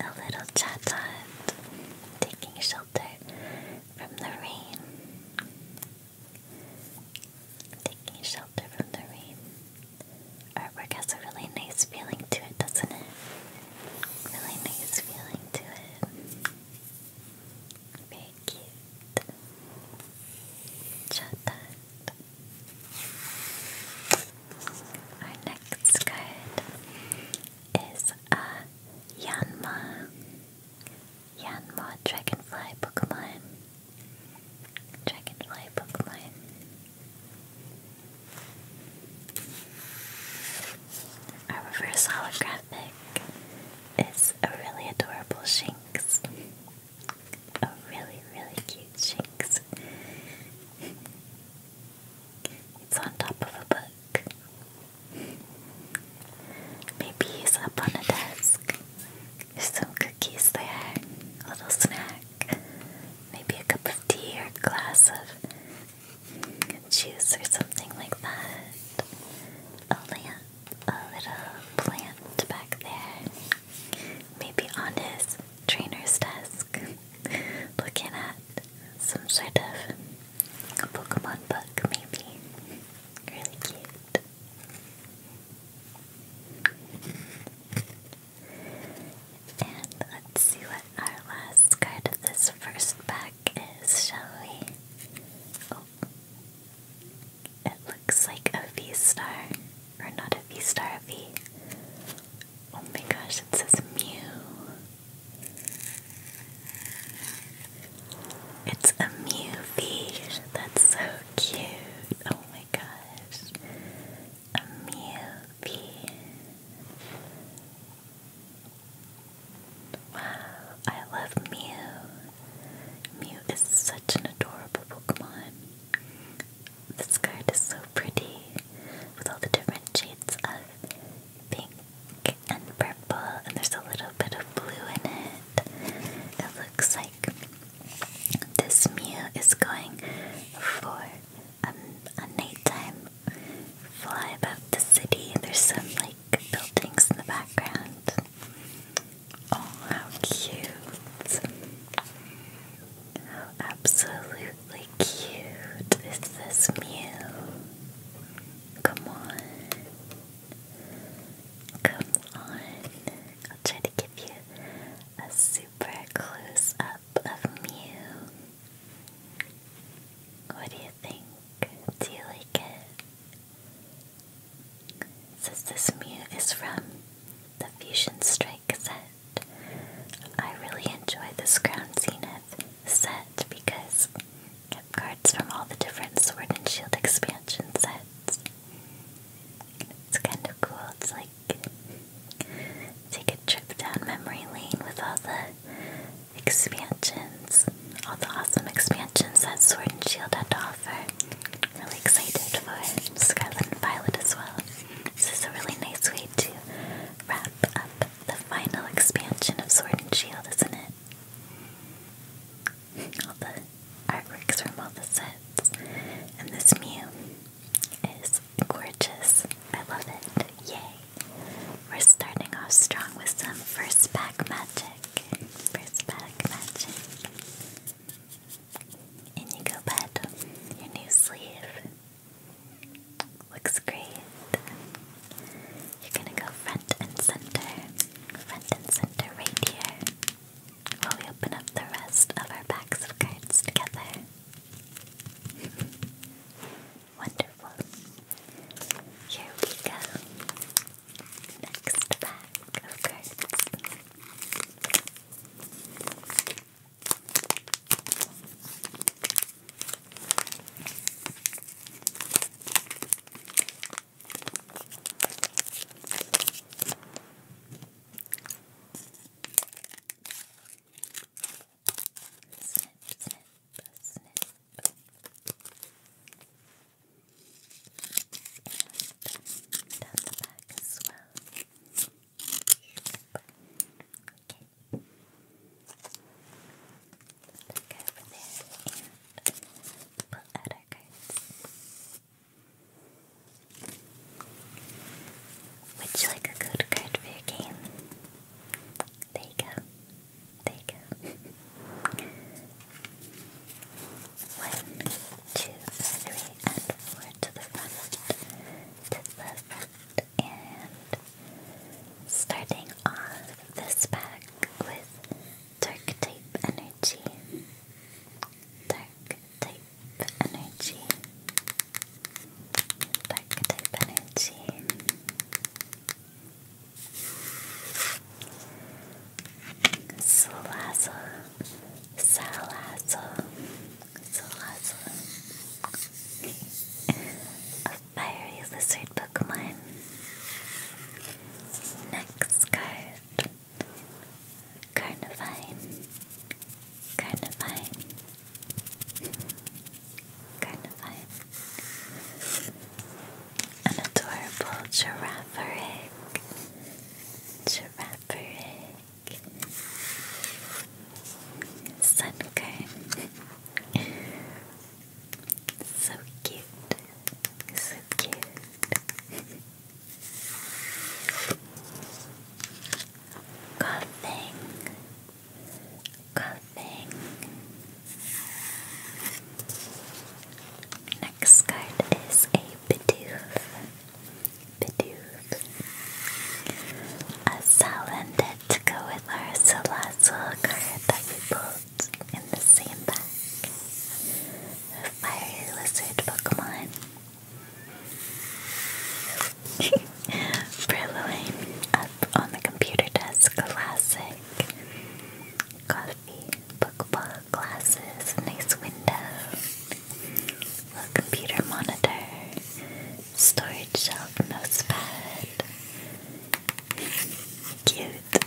A little chatot taking shelter from the rain. Taking shelter from the rain. Artwork has a really nice feeling to it, doesn't it? Really nice feeling to it. Very cute. Shut Our next card is a Yanma. Yanma Dragonfly Pokemon. Dragonfly Pokemon. Our reverse hologram graphic is a really adorable Shinx. A really, really cute Shinx. It's on top of a book. Maybe he's up on a desk. There's some cookies there, a little snack, maybe a cup of tea or a glass of juice or something like that. A lamp a little plant back there. Maybe on his trainer's desk, looking at some sort of Pokemon book, maybe. Really cute. And let's see what our last card of this first pack is, shall it looks like a V star. Or not a V star, a V. Oh my gosh, it says Mew. It's a Mew V. That's so cute. Oh my gosh. A Mew V. Wow, I love Mew. Mew is such an adorable Pokemon. This card is so pretty with all the different shades of pink and purple, and there's a little bit of blue in it. It looks like this Mew is going for a, a nighttime fly about the city. There's some like buildings in the background. Oh, how cute! How absolutely cute is this Mew? Come on. Come on. I'll try to give you a super close up of Mew. What do you think? Do you like it? Says this mute is from the Fusion Strike set. I really enjoy this Crown Zenith set because I have cards from all the different Sword and Shield expansion sets. It's kind of cool. It's like take a trip down memory lane with all the expansions all the awesome expansions that Sword and Shield had to offer. Really excited for Scarlet and Violet as well. This is a really nice way to wrap up the final expansion of Sword and Shield, isn't it? All the artworks from all the sets. And this Mew is gorgeous. I love it. Yay! We're starting off strong with some first pack magic prismatic magic. Indigo bed, your new sleeve. Looks great. You're gonna go front and center. Front and center right here. While we open up the rest of our packs of cards together. Wonderful. Here we go. Next pack of cards. Snip, snip, snip and Okay. over there and pull out our you like a code card for your game? There you go. There you go. One, two, three, and four to the front, to the front, and starting off this pack with Dark Type Energy. Dark Type Energy. Dark Type Energy. Salazzle, Salazzle, Salazzle. A fiery lizard Pokemon. Next card. Carnivine. Carnivine. Carnivine. An adorable giraffe Girafferig, Sunkern. so cute, so cute. coughing, coughing. Next card is a Bidoof. Bidoof. A Salandit to go with our Salazzle card that we pulled in the same pack. A Fiery Lizard Pokemon. Brilloing up on the computer desk. Classic. Coffee. Bookball glasses, nice window, little computer monitor, storage shelf, mousepad. Cute.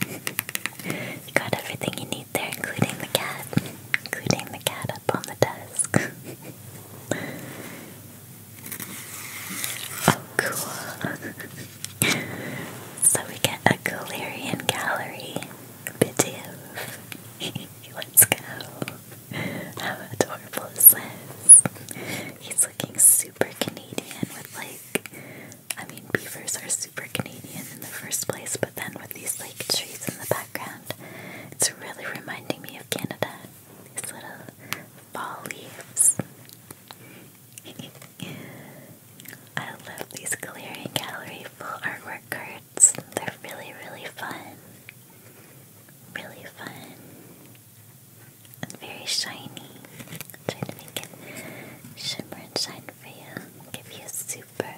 You got everything you need there, including the cat. Including the cat up on the desk. oh, cool. so we get a Galarian gallery. Let's go. How adorable is this? He's looking super Canadian with like, I mean, beavers are super Canadian in the first place, but then with these like trees in the background, it's really reminding me of Canada. These little fall leaves. I love these Gallery Gallery full artwork cards. They're really, really fun. Really fun. And very shiny. I'm trying to make it shimmer and shine for you. Give you a super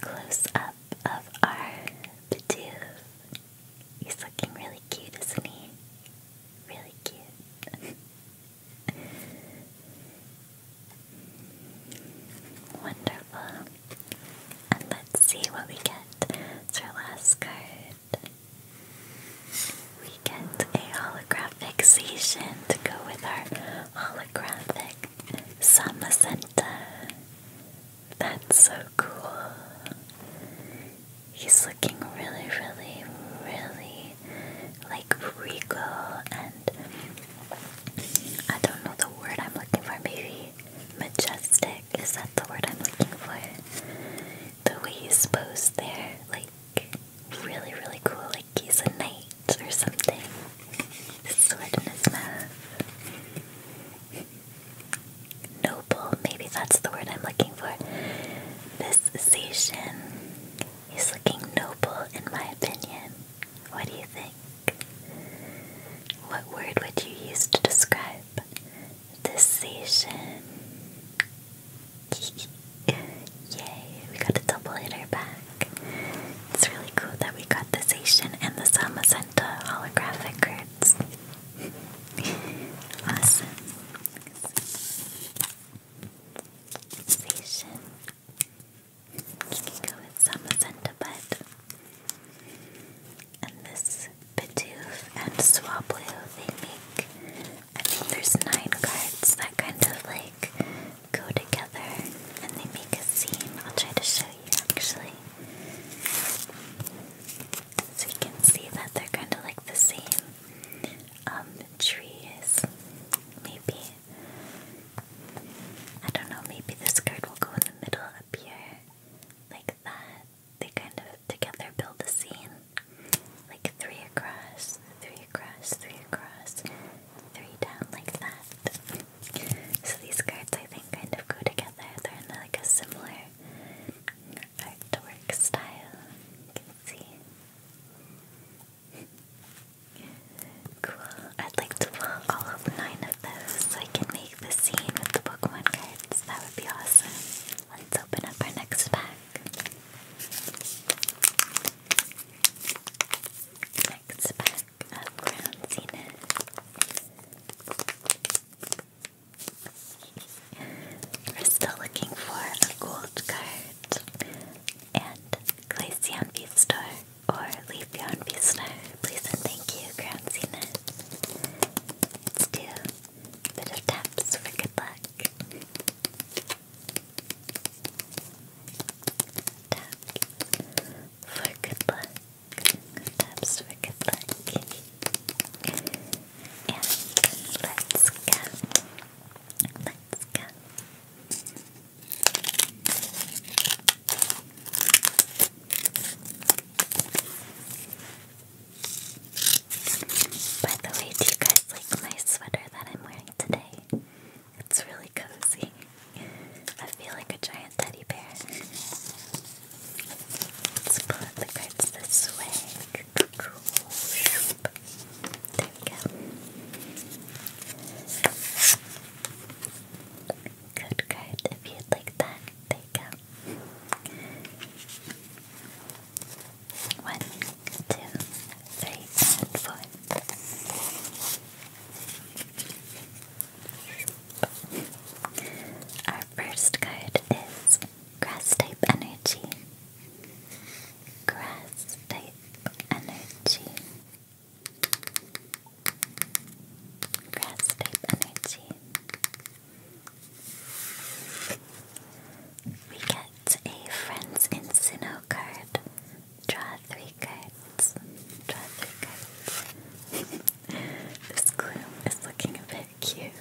close up of our Bidoof. He's looking really cute, isn't he? Really cute. Wonderful. And let's see what we get. It's our last card. We get a holographic to go with our holographic Samacenta. That's so cool. He's looking really, really, really like regal and I don't know the word I'm looking for. Maybe majestic. Is that the word I'm looking for? The way he's posed there, like really, really cool. Like he's a knight or something. His Noble. Maybe that's the word I'm looking for. This station, He's looking noble, in my opinion. What do you think? What word would you use to describe this season? Yay, we got a double hitter back. It's really cool that we got the Seishin and the Samacenta holographic cards. awesome. Seishin. You could go with some centipede. And this Bidoof and Swablu, they make, I think there's nine cards that kind of like go together and they make a scene. I'll try to show you actually. So you can see that they're kind of like the same um, trees, maybe. I don't know, maybe this card will go in the middle up here, like that. They kind of together build the scene. Like three across, three across, three across, three down, like that. So these cards, I think, kind of go together. They're in like a similar artwork style. You can see. Cool. I'd like to pull all of nine of those so I can make the scene with the book one cards. That would be awesome. Let's open up our next pack. Next pack of Ground Zenith. We're still looking for a gold card and Glaceon Beef or leave your own v Please and thank you, Crown Cena. let bit of taps for good luck. Taps for good luck. Taps for good luck. And let's go. Let's go. By the way, do you guys like my sweater that I'm wearing today? It's really cozy. I feel like a giant teddy bear. Let's pull out the cards this way. There we go. Good card if you'd like that. There you go. One, two, three, Our first card is Grass Type Energy. Grass Type Energy. Grass energy. We get a Friends in Sinnoh card. Draw three cards. Draw three cards. this gloom is looking a bit cute.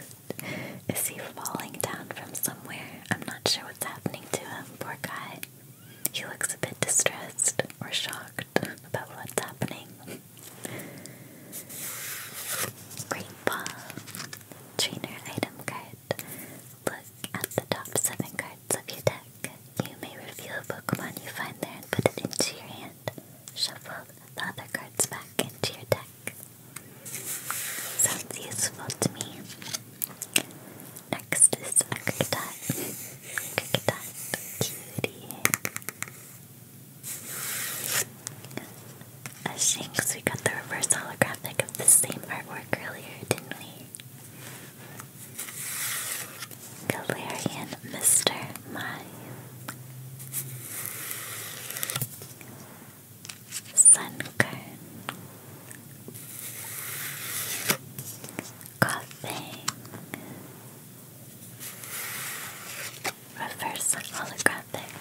Is he falling down from somewhere? I'm not sure what's happening to him, poor guy. He looks a bit distressed confused or shocked about what's happening. Great Paw Trainer Item Card. Look at the top 7 cards of your deck. You may reveal a Pokemon you find there and put it into your hand. Shuffle the other cards back into your deck. Sounds useful to me. Next is a Cricketot. Cricketot cutie. Uh, Shanks, we got the reverse holographic of the same artwork earlier, didn't we? Galarian Mr. Mime. Sunkern coughing. Reverse holographic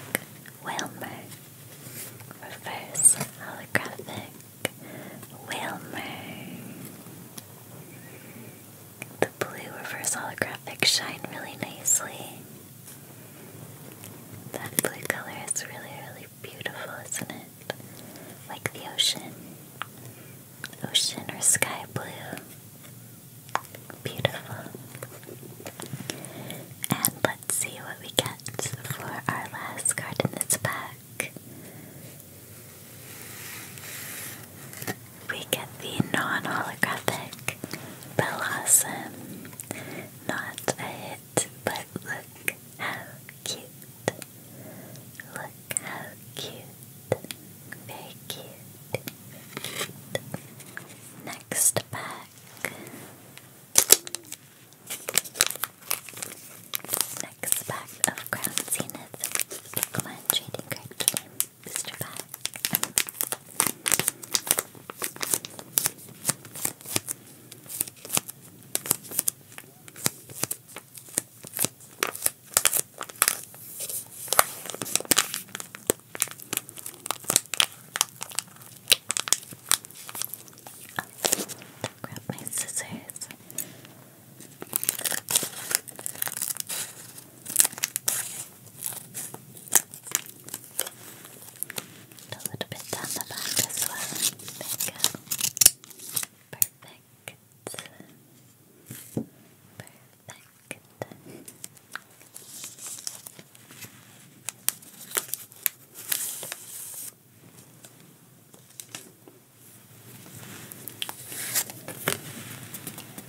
Wilmer. Reverse holographic Wilmer. The blue reverse holographic shine really nicely. That blue color is really, really beautiful, isn't it? Like the ocean ocean or sky blue. Beautiful. And let's see what we get for our last card in this pack. We get the non holographic Blossom. Not a hit, but look how cute. Look how cute. Very cute. Next pack. Next pack of Crown Zenith Pokemon Trading Card Game Booster Pack grab my scissors. Put a little bit down the back as well. There we go. Perfect. Perfect.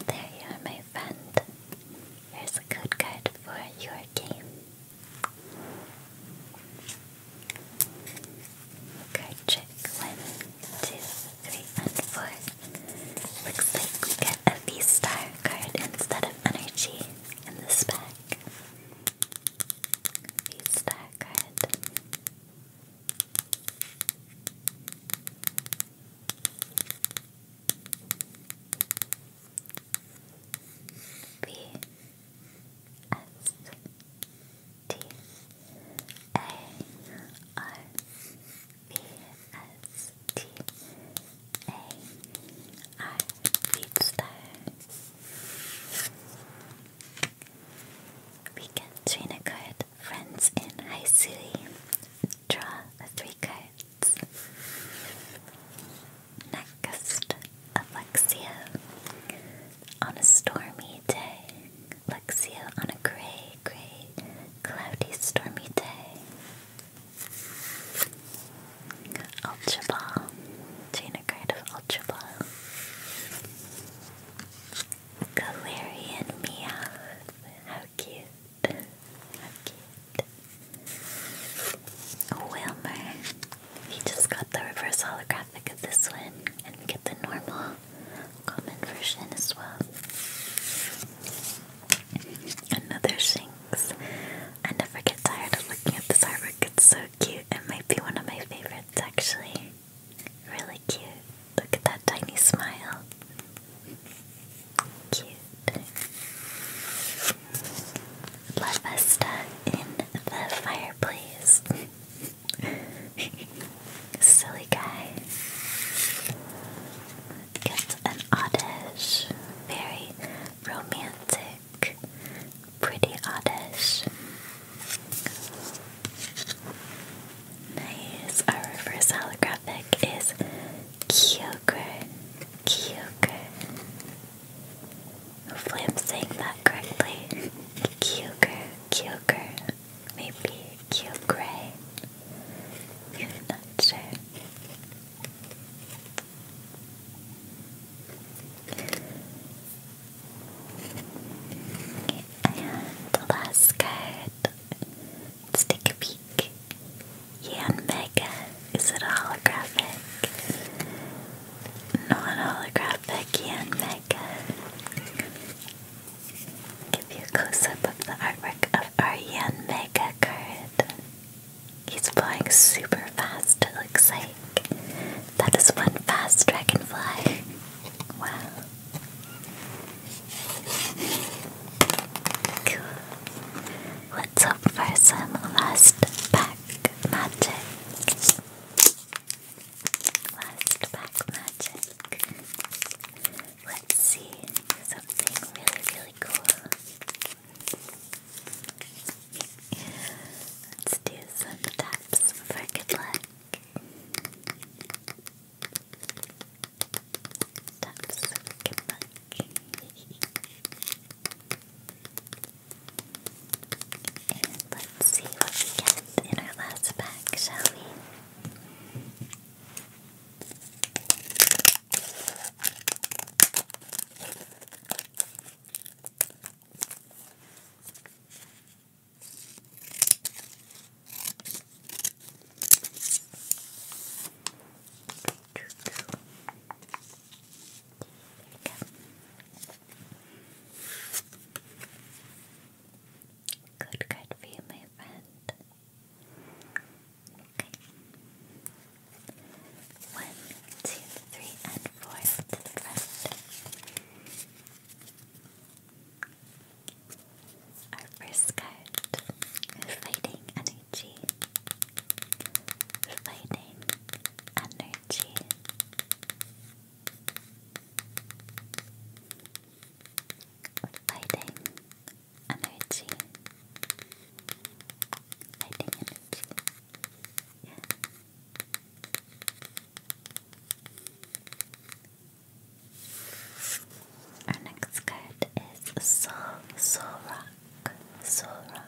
There you are, my friend. Here's a good card for your game. Card trick two, three, and four. Looks like we get a V-Star card instead of energy in this pack. V-Star card. V S T A R B-S-T-A-R Beatstar. We can train a Friends in Haisui. Draw three cards. Next, Alexia. On a stormy day, Luxio on a gray, gray, cloudy, stormy day. Ultra Ball. Chain a of Ultra Ball. Galarian Meowth. How cute. How cute. Wilmer. He just got the reverse holographic of this one. And get the normal common version as well. Another Shinx. I never get tired of looking at this artwork, it's so cute. It might be one of my favorites actually. Really cute. Look at that tiny smile. Cute. La in the fireplace. Silly guy. Gets an oddish, very romantic, pretty oddish. Nice. Our reverse holographic is Kyogre. Kyogre. Hopefully saying that correctly. Kyogre. Kyogre maybe cute gray. Yeah, not sure. And last card. take a peek. Yan Is it a holographic? Non holographic Yan Give you a close up of the artwork of our Yan He's flying super fast, it looks like. That is one fast dragonfly. Wow. Cool. Let's hope for some last pack magic. Last pack magic. Let's see something really, really cool. Let's do some taps for good luck. Taps for good luck. and let's see what we get in our last pack, shall Good card for you, my friend. Okay. One, two, three, and four to the front. Our first card Energy. Fighting Energy. Fighting energy. Lighting energy. Our next card is Soul, Soul Rock, Soul Rock,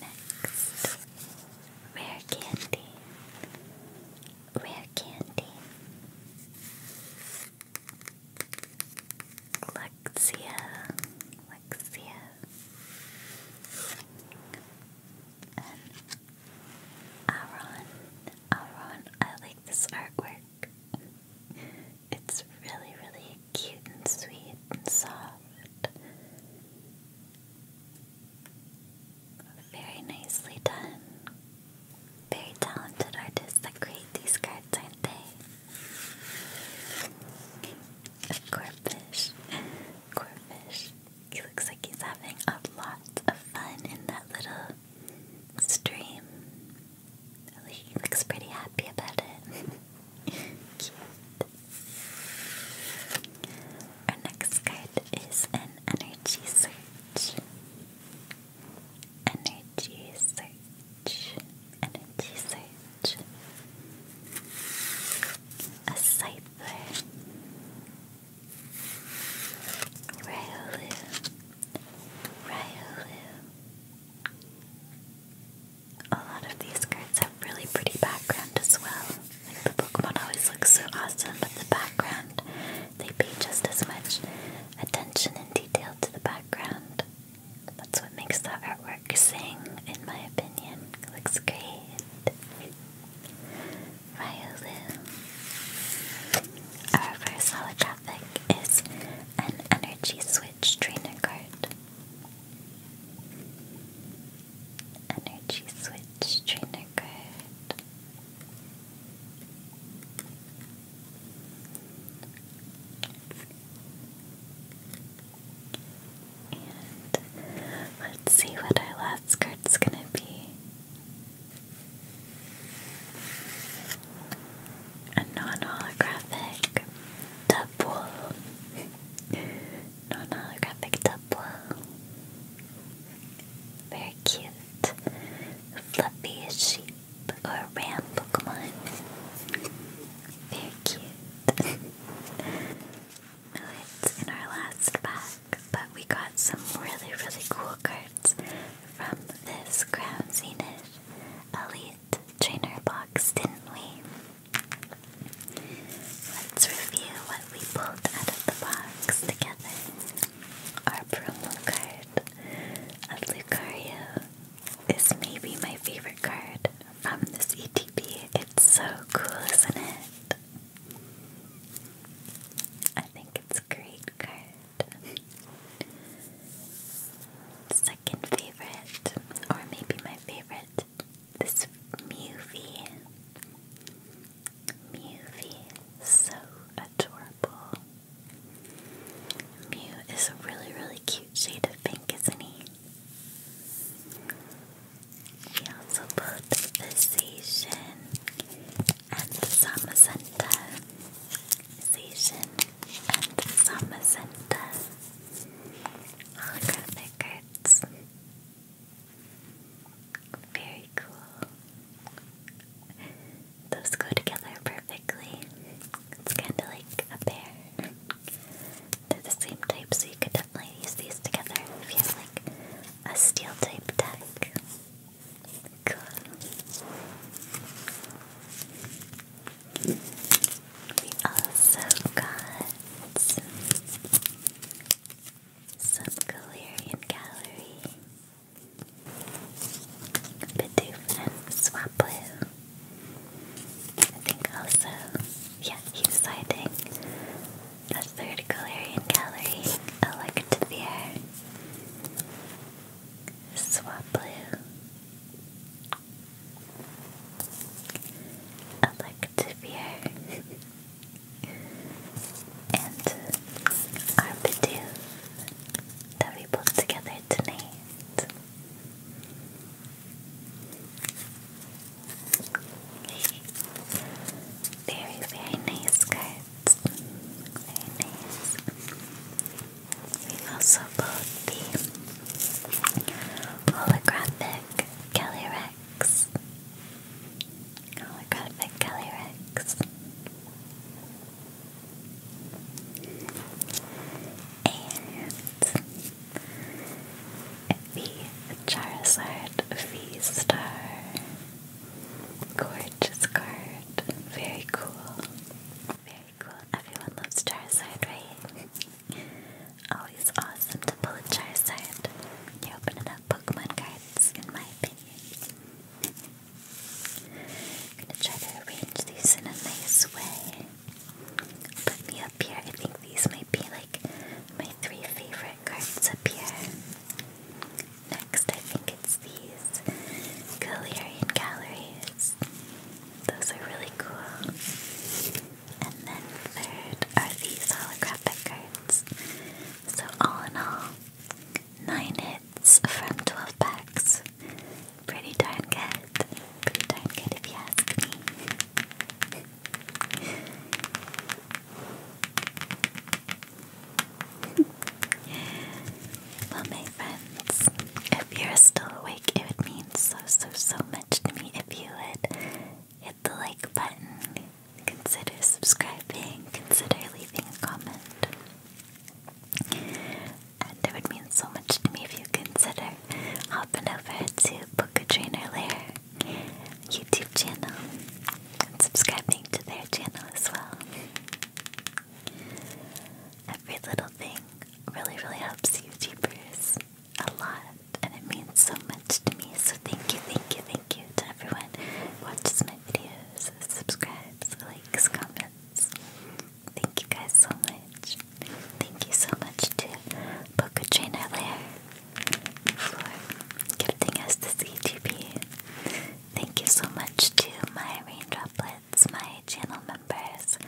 Next, rare candy, rare candy, Luxia, Luxia, and Aaron, Aaron. I like this artwork. It's really, really cute and sweet and soft. Very nicely done. Very talented artists that create these cards, aren't they? A corpfish. He looks like he's having a lot of fun in that little stream. He looks pretty happy about it. Cute. Our next card is an energy search. Energy search. Energy search. A cipher. Ryolu. Ryolu a lot of these cards have really pretty background as well. Like the Pokemon always looks so awesome, but the background, they pay just as much attention and detail to the background. That's what makes the artwork sing, in my opinion. looks great. Ryolu. Our first holographic is an energy switch trainer card. Energy Switch trainer card. And let's see what our last card's gonna be a non-holographic double. non-holographic double. Very cute. Fluffy sheep or ram Pokemon. Very cute. it's in our last pack, but we got some really, really cool cards from this Crown Zenith Elite Trainer box, didn't we? Let's review what we pulled out of the box together. Our promo card of Lucario is maybe my favorite card from this ETB. It's so cool, isn't it? I think it's a great card second favorite, or maybe my favorite, this movie. Mew so adorable. Mew is a really, really cute shade of pink, isn't he? We also bought the Seishin and the Samazenta. Seishin and Samazenta holographic Very cool. Those go together perfectly. It's kind of like a pair. They're the same type, so you could definitely use these together if you have like a steel type deck. Cool. We also got some Galarian Gallery, Bidoof and Swaplu. I think also, yeah, he's hiding a third Galarian Gallery, Electabir, Swaplu, Electivire and Arbiduce that we pulled together tonight. Very, very nice cards. Very nice. we also pulled the Holographic Kelly Rex. Holographic Kelly Rex. And the Charizard V Star. Gorgeous card. Very cool. Very cool. Everyone loves Charizard, right? Always awesome to pull a Charizard. You're opening up Pokemon cards, in my opinion. gonna try to arrange these in a nice way. Put me up here. I think these might be like my three favorite cards up here. Next, I think it's these Galarian Galleries. Those are really cool. And then third are these holographic cards. So all in all, nine hits from 12 packs. Pretty darn good. Pretty darn good if you ask me. well, my friends, if you're still awake, it would mean so, so, so much to me if you would hit the like button, consider subscribing, consider leaving a comment. And would mean so much to me if you consider hopping over to Book Trainer Lair YouTube channel and subscribing to their channel as well. Every little thing really, really helps you, a lot and it means so much to me. So thank you, thank you, thank you to everyone who watches my videos, subscribes, likes, comments. Thank you guys so much. Thank you so much to Boca for gifting us this ETP. Thank you so much to my raindroplets, my channel members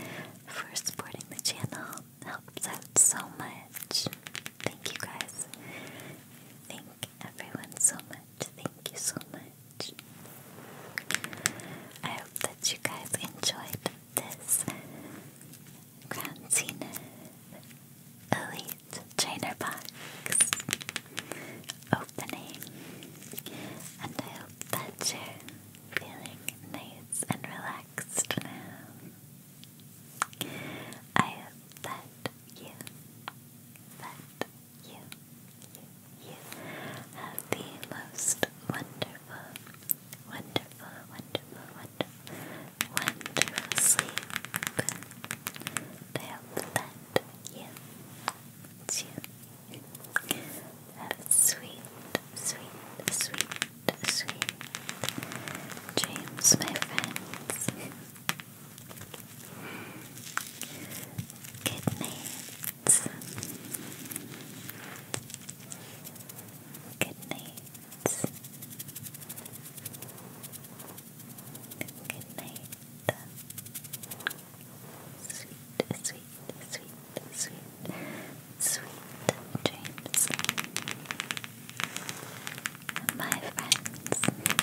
for supporting the channel helps out so much. Thank you guys. Thank everyone so much. Thank you so much. I hope that you guys enjoyed this Crown Elite Trainer Box opening. And I hope that you're feeling nice and relaxed now. I hope that you, that you, you, you have the most wonderful, wonderful, wonderful, wonderful, wonderful sleep. I hope that you, that you have sweet, sweet, sweet sweet James, my friends. Good night. Good Sweet, sweet, sweet, sweet sweet dreams, my friends.